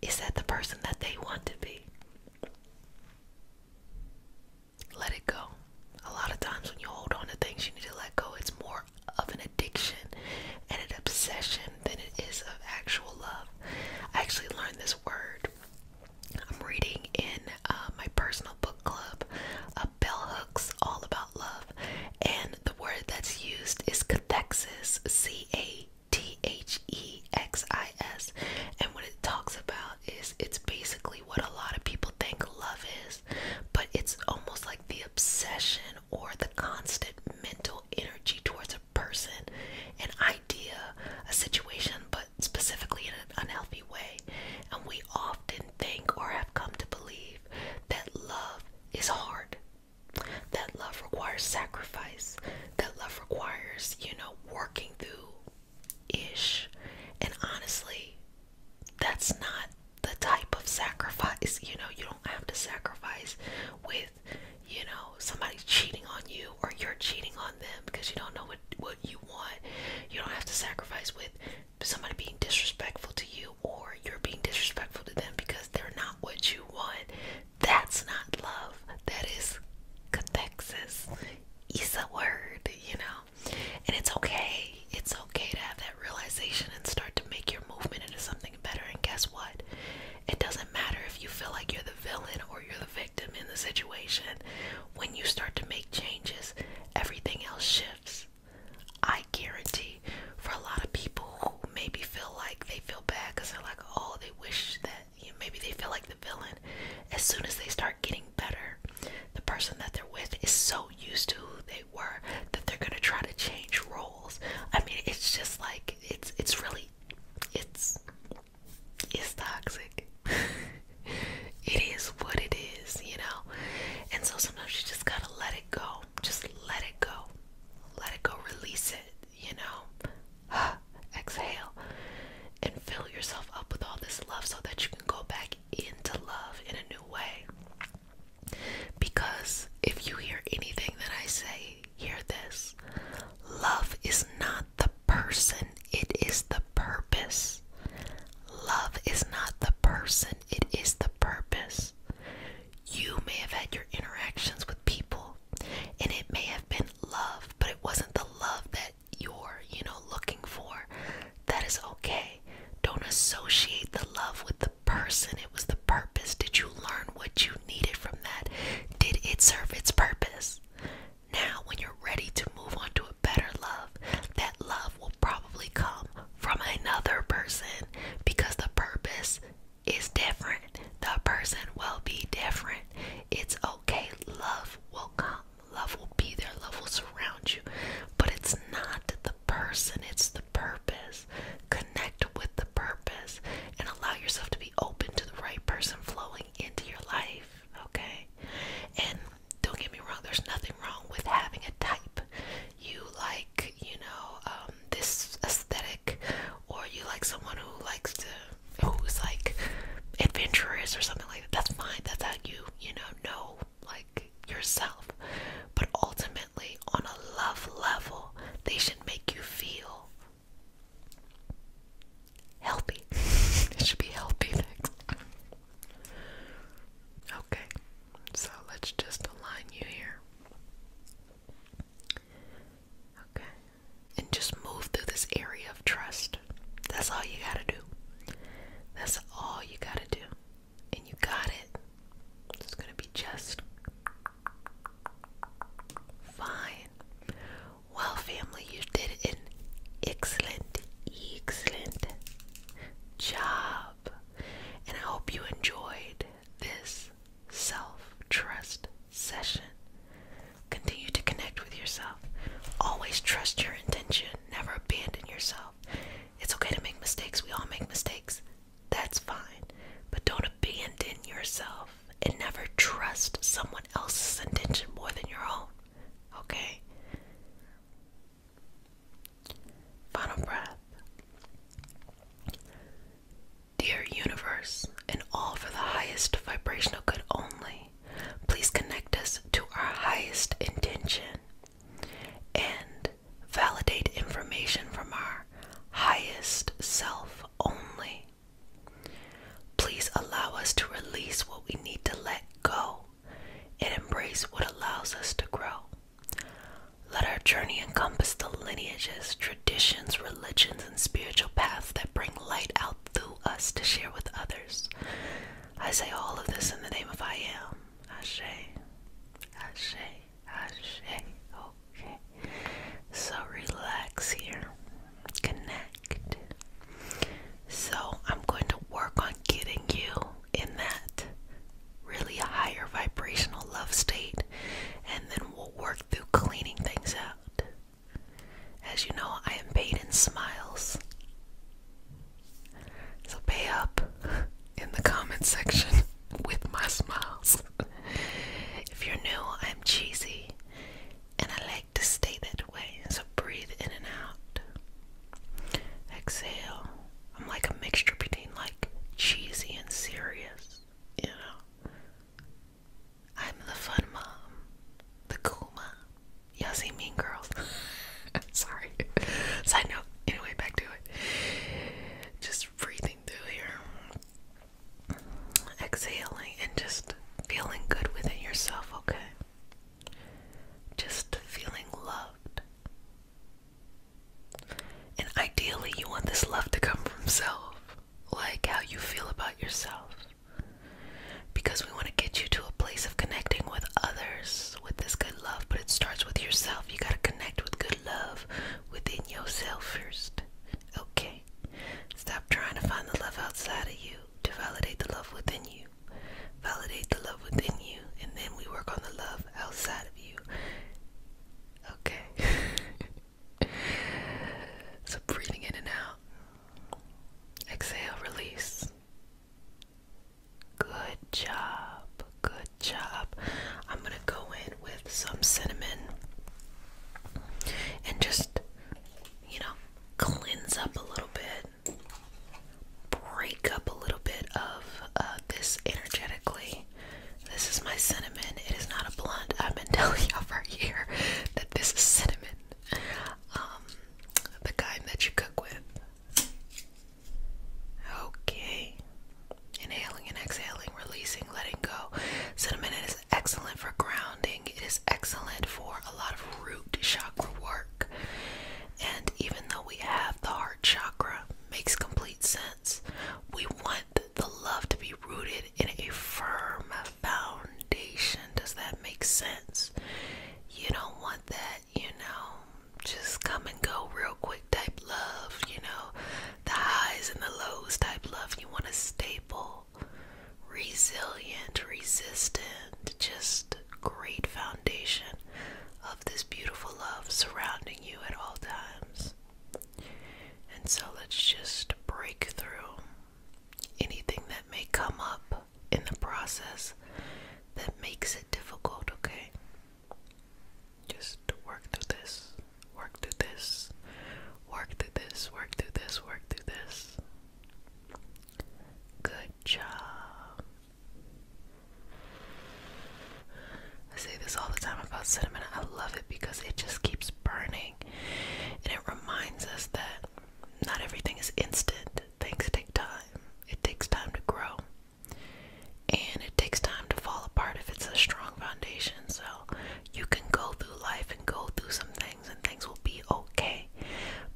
Is that the person that they want to be? Let it go. A lot of times when you hold on to things you need to let go, it's more of an addiction and an obsession than it is of actual love. I actually learned this word. I'm reading in uh, my personal book club, uh, Bell Hooks, all about love, and the word that's used is cathexis, C A T H E X I S, and what it talks about is it's basically what a lot of people think love is, but it's almost like the obsession or the constant mental energy towards a person, an idea, a situation, but specifically in an unhealthy way. And we often think or have come to believe that love is hard, that love requires sacrifice, that love requires, you know, working through ish. And honestly, that's not the type of sacrifice, you know, you don't have to sacrifice with with you know somebody cheating on you or you're cheating on them because you don't know what what you want you don't have to sacrifice with somebody being disrespectful to you or you're being disrespectful to them because they're not what you want that's not love that is cathexis is a word you know and it's okay it's okay to have that realization and start to make your movement into something better. And guess what? It doesn't matter if you feel like you're the villain or you're the victim in the situation. When you start to make changes, everything else shifts. I guarantee for a lot of people who maybe feel like they feel bad because they're like, oh, they wish that maybe they feel like the villain. As soon as they start getting better, the person that they're with is so used to who they were that they're gonna try to change roles. I mean, it's just like it's it's really it's it's toxic. *laughs* it is what it is, you know. And so sometimes you just gotta let it go. Just let it go. Let it go. Release it. You know. *sighs* Exhale and fill yourself up with all this love so that you can go back into love in a new way. Because if you hear anything that I say hear this. Love is not the person, it is the purpose. Love is not the person, it is the purpose. You may have had your interactions with people and it may have been love, but it wasn't the love that you're, you know, looking for. That is okay. Don't associate the love with the person, it was the purpose. Did you learn what you needed from that? Did it serve its purpose? Now, when you're ready to move on to a better love, that love will probably come from another person because the purpose is different. The person will be different. It's okay. Love will come. Love will be there. Love will surround you. But it's not the person, it's the purpose. Connect with the purpose and allow yourself to be open to the right person flowing into your life, okay? And don't get me wrong, there's nothing wrong with having a type. You like, you know, um, this aesthetic, or you like someone who likes to, who's like adventurous or something like that. That's fine. That's how you, you know, know like yourself. But ultimately, on a love level, they should make you feel Healthy. *laughs* it should be healthy next. Okay, so let's just align you here. Okay, and just move through this area of trust. That's all you gotta do. That's all you gotta do. And you got it. It's gonna be just Fine. Well, family, you did an excellent, excellent job. And I hope you enjoyed this self trust session. Continue to connect with yourself. Always trust your intention. Never abandon yourself. It's okay to make mistakes. We all make mistakes. That's fine. But don't abandon yourself and never trust someone else's intention more than your own. Okay? Final breath. Dear universe, and all for the highest vibrational good only, please connect us to our highest intention and validate information from our highest self only. Please allow us to release what we need to let go and embrace what allows us to grow. Let our journey encompass the lineages, traditions, religions, and spiritual paths that bring light out through us to share with others. I say all of this in the name of I am. Ashe. Ashe. Ashe. Okay. So relax here. Connect. So I'm going to work on getting you in that really higher vibrational love state and then we'll work through cleaning things out. As you know, I am paid in smiles. So pay up in the comment section *laughs* with my smiles. if you're new, I'm cheesy and I like to stay that way. So breathe in and out. Exhale. I'm like a mixture between like cheesy and serious, you know. I'm the fun mom, the cool mom. Y'all see Mean Girls? *laughs* Sorry. Side note. Anyway, back to it. Just breathing through here exhaling and just feeling good within yourself, okay? Just feeling loved. And ideally, you want this love to come from self, like how you feel about yourself. Because we want to get you to a place of connecting with others with this good love, but it starts with yourself. You got to connect with good love within yourself first. Okay. Stop trying to find the love outside of you to validate the love within you. Validate the love within you, and then we work on the love outside of you. Okay. *laughs* so breathing in and out. Exhale, release. Good job. Good job. I'm going to go in with some cinnamon and just you know, cleanse up a little bit, break up a little bit of uh, this energetically. This is my cinnamon. It is not a blunt. I've been *laughs* telling y'all for a that this is cinnamon. Um, the kind that you cook with. Okay. Inhaling and exhaling, releasing, letting go. Cinnamon is excellent for grounding. It is excellent for a lot of root chakra work. And even though we have the heart chakra, makes complete sense. We want the love to be rooted in a firm foundation. Does that make sense? You don't want that, you know, just come and go real quick type love, you know, the highs and the lows type love. You want a stable resilient, resistant, just great foundation of this beautiful love surrounding you at all times. And so let's just break through anything that may come up in the process that makes it difficult, okay? Just work through this work through this, work through this, work through this, work through this. Good job. I say this all the time about cinnamon. I love it because it just keeps burning and it reminds us that not everything is instant. Things take time. It takes time to grow. And it takes time to fall apart if it's a strong foundation. So you can go through life and go through something and things will be okay.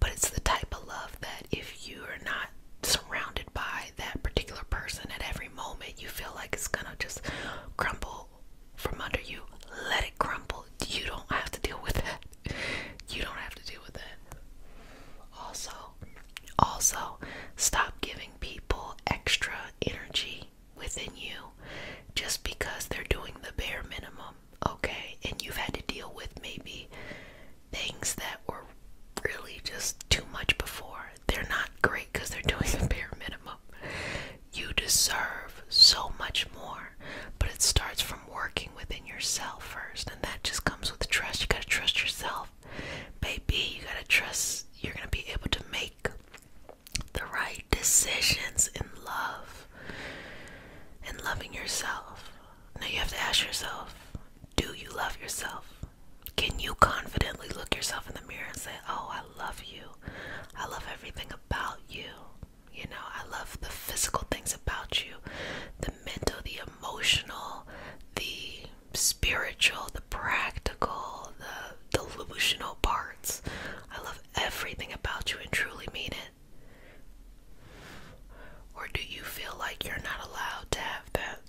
But it's the type of love that if you are not surrounded by that particular person at every moment, you feel like it's gonna just crumble from under you. Let it crumble. You don't have to deal with it. You don't have to deal with it. Also, also stop giving people extra energy within you just because they're doing the bare minimum, okay? And you've had to deal with maybe things that were really just too much before. They're not great because they're doing the bare minimum. You deserve so much more, but it starts from working within yourself first, and that just comes with trust. You gotta trust yourself, baby. You gotta trust you're gonna be able to make the right decisions in love and loving yourself. Now you have to ask yourself do you love yourself? Can you confidently look yourself in the mirror and say, Oh, I love you. I love everything about you. You know, I love the physical things about you, the mental, the emotional, the spiritual, the practical, the delusional parts. I love everything about you and truly mean it? Or do you feel like you're not allowed to have that?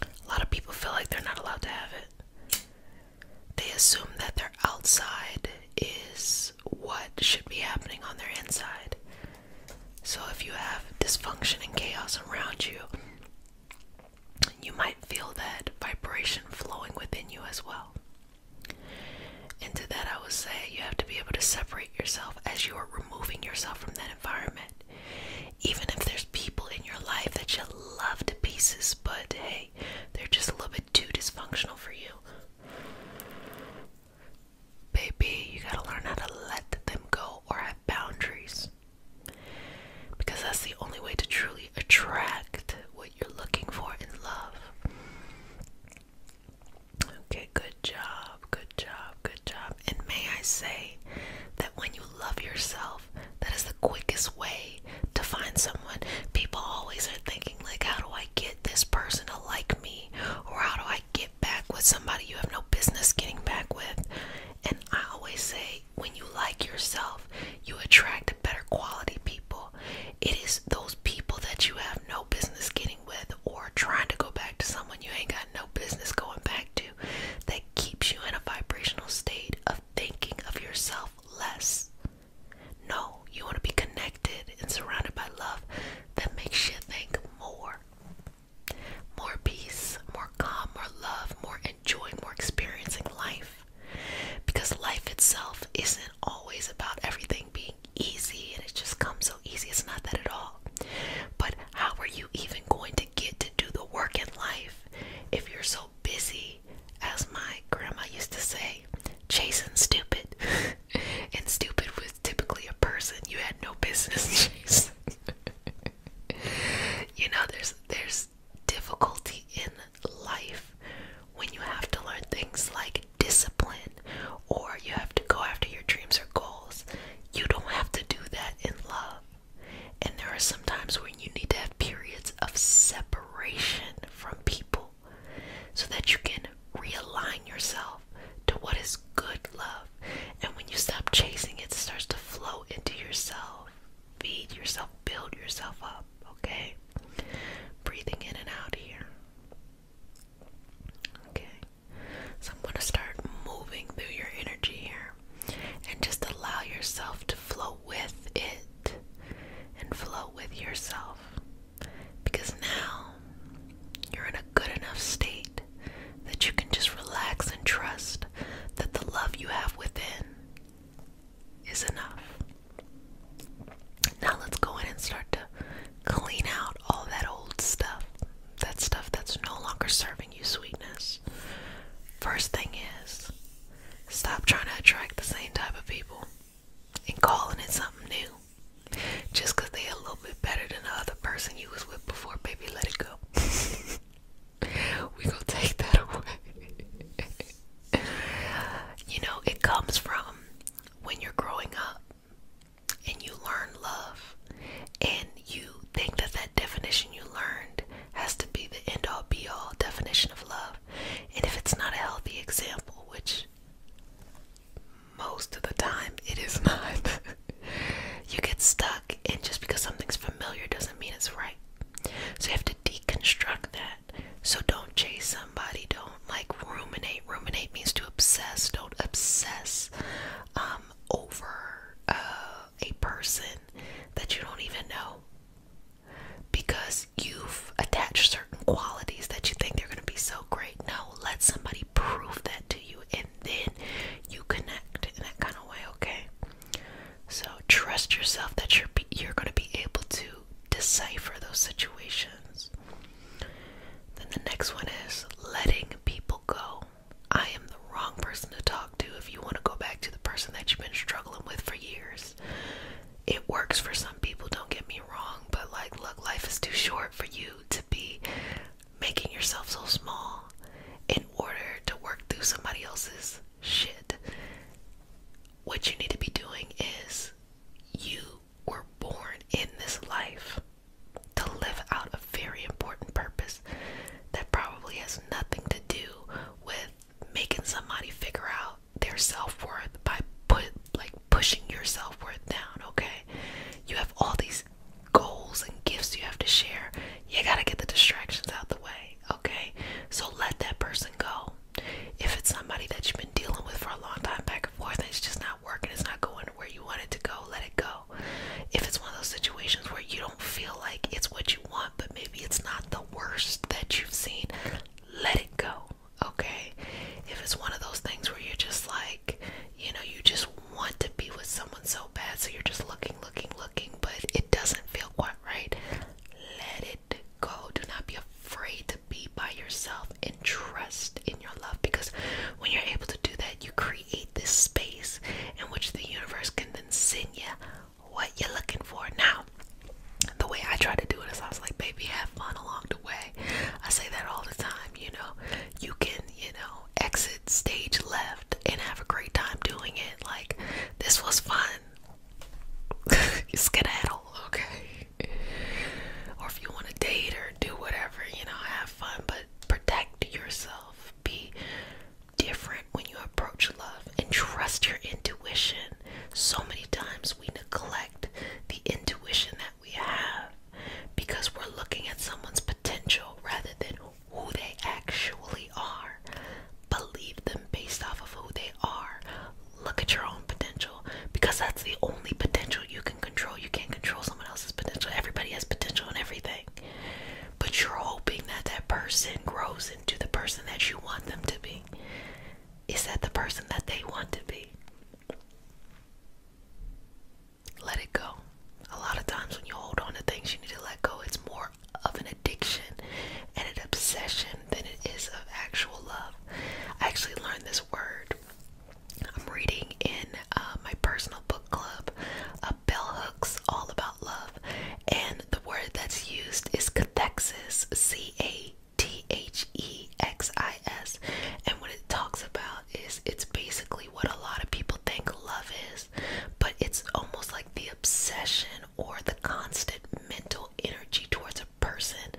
A lot of people feel like they're not allowed to have it. They assume that their outside is what should be happening on their inside. So if you have dysfunction and chaos around you, you might feel that vibration flowing within you as well. And to that, I will say you have to be able to separate yourself as you are removing yourself from that environment. Even if there's people in your life that you love to pieces, but hey, they're just a little bit too dysfunctional for you. Baby, you gotta learn how to let them go or have boundaries. Because that's the only way to truly attract you're looking for in love. Okay, good job, good job, good job. And may I say that when you love yourself, that is the quickest way to find someone. People always are thinking, like, how do I get this person to like me? Or how do I get back with somebody you have no business getting back with? And I always say, when you like yourself, you attract better quality people. It is those people that you have no business getting with or trying to go back to someone you ain't got no business going back to that keeps you in a vibrational state of thinking of yourself less. No, you want to be connected and surrounded by love that makes you think more. More peace, more calm, more love, more enjoying, more experiencing life because life itself isn't always about everything being easy and it just comes so easy. It's not that at all. But how are you even going to get to do the work in life if you're so busy, as my grandma used to say, chasing stupid? *laughs* and stupid was typically a person you had no business *laughs* chasing. you know, there's there's difficulty in life when you have to learn things like discipline or you have to go after your dreams or goals. You don't have to do that in love. And there are some times when you need to have periods of separation from people so that you can realign yourself to what is good love. And when you stop chasing it, it starts to flow into yourself. Feed yourself, build yourself up, okay? Breathing in and out here. Okay. So I'm going to start moving through your energy here and just allow yourself to flow with it and flow with yourself. Because now you're in a good enough state that you can just relax and trust that the love you have within is enough. Now let's go in and start to clean out all that old stuff. That stuff that's no longer serving you sweetness. First thing is, stop trying to attract the same type of people and calling it something new. Just because they're a little bit better than the other person you was with before, baby, let it go. *laughs* we gonna take that *laughs* away. you know, it comes from when you're growing up and you learn love and you think that that definition you learned has to be the end all be all definition of love, and if it's not a healthy example, which most of the time it is not, *laughs* you get stuck, and just because something's familiar doesn't mean it's right. So you have to deconstruct that so don't chase somebody. Don't like ruminate. Ruminate means to obsess. Don't obsess um, over uh, a person that you don't even know because you've attached certain qualities that you think they're going to be so great. No, let somebody prove that to you and then you connect in that kind of way, okay? So trust yourself that you're, you're going to be able to decipher those situations. Then the next one is letting people go. I am the wrong person to talk to if you want to go back to the person that you've been struggling with for years. It works for some people, don't get me wrong, but like, look, life is too short for you to be making yourself so small in order to work through somebody else's shit. What you need to be doing is you we're born in this life to live out a very important purpose that probably has nothing to do with making somebody figure out their self-worth by put like pushing your self-worth down okay you have all these goals and gifts you have to share you got to get the distractions out the way okay so let that person go if it's somebody that you've been dealing with for a long time, back and forth, and it's just not working, it's not going where you want it to go, let it go. If it's one of those situations where you don't feel like it's what you want, but maybe it's not the worst that you've seen, let it go, okay? If it's one of those things where you're just like, you know, you just want to be with someone so bad, so you're just looking, looking, looking, but it doesn't feel quite right, let it go. Do not be afraid to be by yourself and trust in your love because when you're able to do that, you create this space in which the universe can then send you what you're looking for. Now, the way I try to do it is I was like, baby, have fun along the way. I say that all the time, you know. You can, you know, exit stage left and have a great time doing it. Like, this was fun. *laughs* Skedaddle, okay? or if you want to date or do whatever, you know, have fun, but protect yourself. Be different when you approach love and trust your intuition. So many times we neglect the intuition that we have because we're looking at someone's potential rather than who they actually are. Believe them based off of who they are look at your own potential because that's the only potential you can control. You can't control someone else's potential. Everybody has potential in everything. But you're hoping that that person grows into the person that you want them to be. Is that the person that they want to be? Let it go. A lot of times when you hold on to things, you need to let go. It's more of an addiction and an obsession than it is of actual love. I actually learned this word I'm reading in uh, my personal book club uh, Bell Hooks All About Love, and the word that's used is cathexis, C A T H E X I S. And what it talks about is it's basically what a lot of people think love is, but it's almost like the obsession or the constant mental energy towards a person,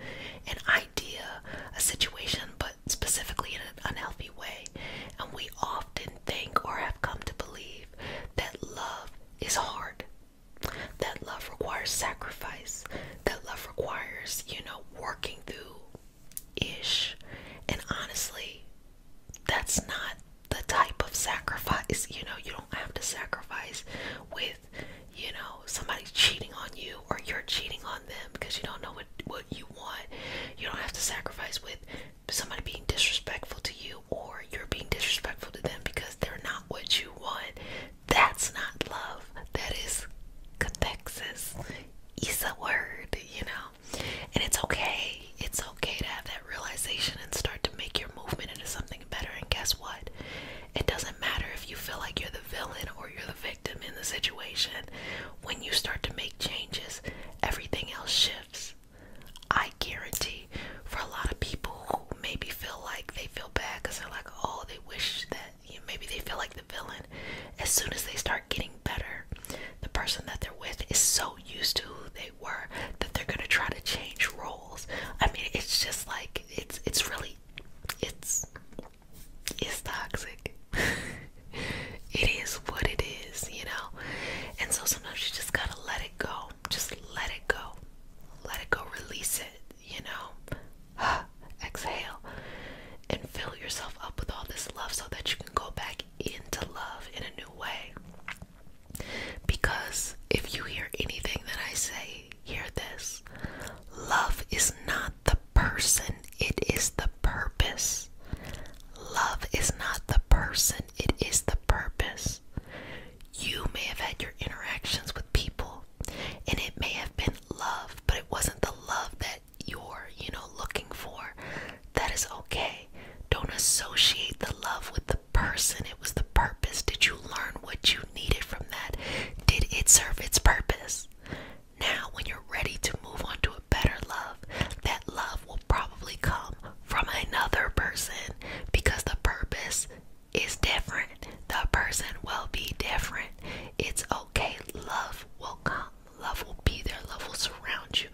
an idea, a situation, but specifically in an unhealthy way. And we often think or have come to believe that love is hard, that love requires sacrifice, that love requires, you know, working through ish. And honestly, that's not the type of sacrifice, you know, you don't have to sacrifice with you know somebody's cheating on you or you're cheating on them because you don't know what what you want you don't have to sacrifice with somebody being disrespectful to you or you're being disrespectful to them because they're not what you want that's not love that is cathexis Is a word you know and it's okay it's okay to have that realization and start to make your movement into something better and guess what it doesn't matter if you feel like you're the villain or you're the victim in the situation. When you start to make changes, everything else shifts. I guarantee for a lot of people who maybe feel like they feel bad because they're like, oh, they wish that you know, maybe they feel like the villain. As soon as they start getting better, the person that they're with is so used to who they were that they're gonna try to change roles. I mean, it's just like it's it's really it's it's toxic. *laughs* it is what it is, you know? And so sometimes you just gotta let it go. Just let it go. Let it go. Release it, you know? *sighs* Exhale. And fill yourself up with all this love so that you can go back into love in a new way. Because if you hear anything that I say, hear this love is not the person, it is the purpose. Love is not the person, it is the purpose. You may have had your interactions with people and it may have been love, but it wasn't the love that you're, you know, looking for. That is okay. Don't associate the love with the person. It was the purpose. Did you learn what you needed from that? Did it serve its purpose? Now, when you're ready to move on to a better love, that love will probably come from another person because the purpose is different. The person will be different. It's okay. Love will come. Love will be there. Love will surround you.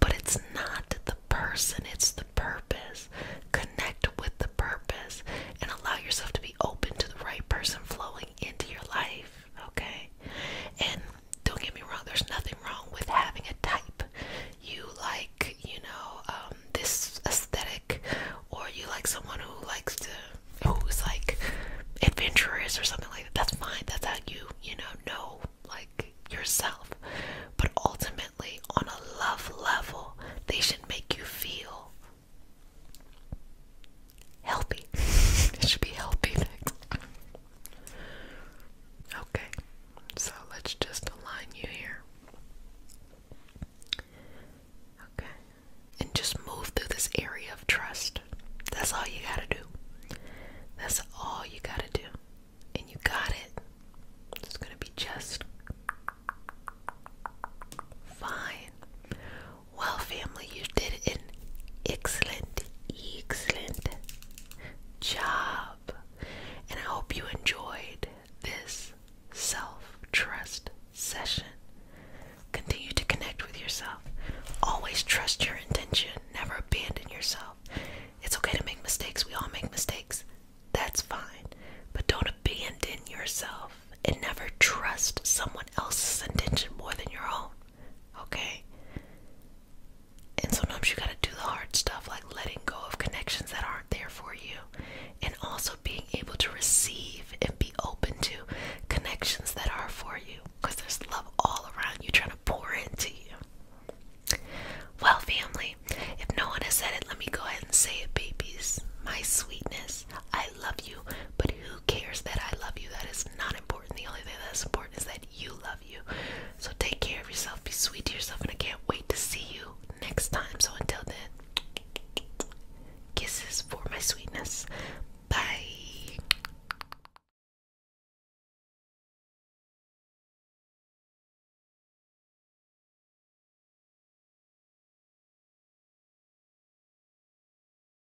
But it's not the person, it's the purpose. Connect with the purpose and allow yourself to be open to the right person flowing into your life. Okay? And don't get me wrong, there's nothing wrong with having a type. You like, you know, um, this aesthetic, or you like someone who likes to, who's like adventurous or something like that. That's fine. That's how you, you know, know like yourself. But ultimately, on a love level, they should make you feel Healthy. *laughs* it should be healthy Okay, so let's just align you here. Okay. And just move through this area of trust. That's all you gotta do. That's all you gotta do. And you got it. It's gonna be just fine. Well, family, you did an excellent, excellent job. And I hope you enjoyed this self trust session. Continue to connect with yourself. Always trust your intention. Never abandon yourself. It's okay to make mistakes. We all make mistakes. That's fine. But don't abandon yourself and never trust someone else's intention more than your own okay? And sometimes you gotta do the hard stuff, like letting go of connections that aren't there for you, and also being able to receive and be open to connections that are for you, because there's love all around you trying to pour into you. Well, family, if no one has said it, let me go ahead and say it, babies. My sweetness, I love you, but who who cares that I love you? That is not important. The only thing that's important is that you love you. So take care of yourself, be sweet to yourself, and I can't wait to see you next time. So until then, kisses for my sweetness. Bye.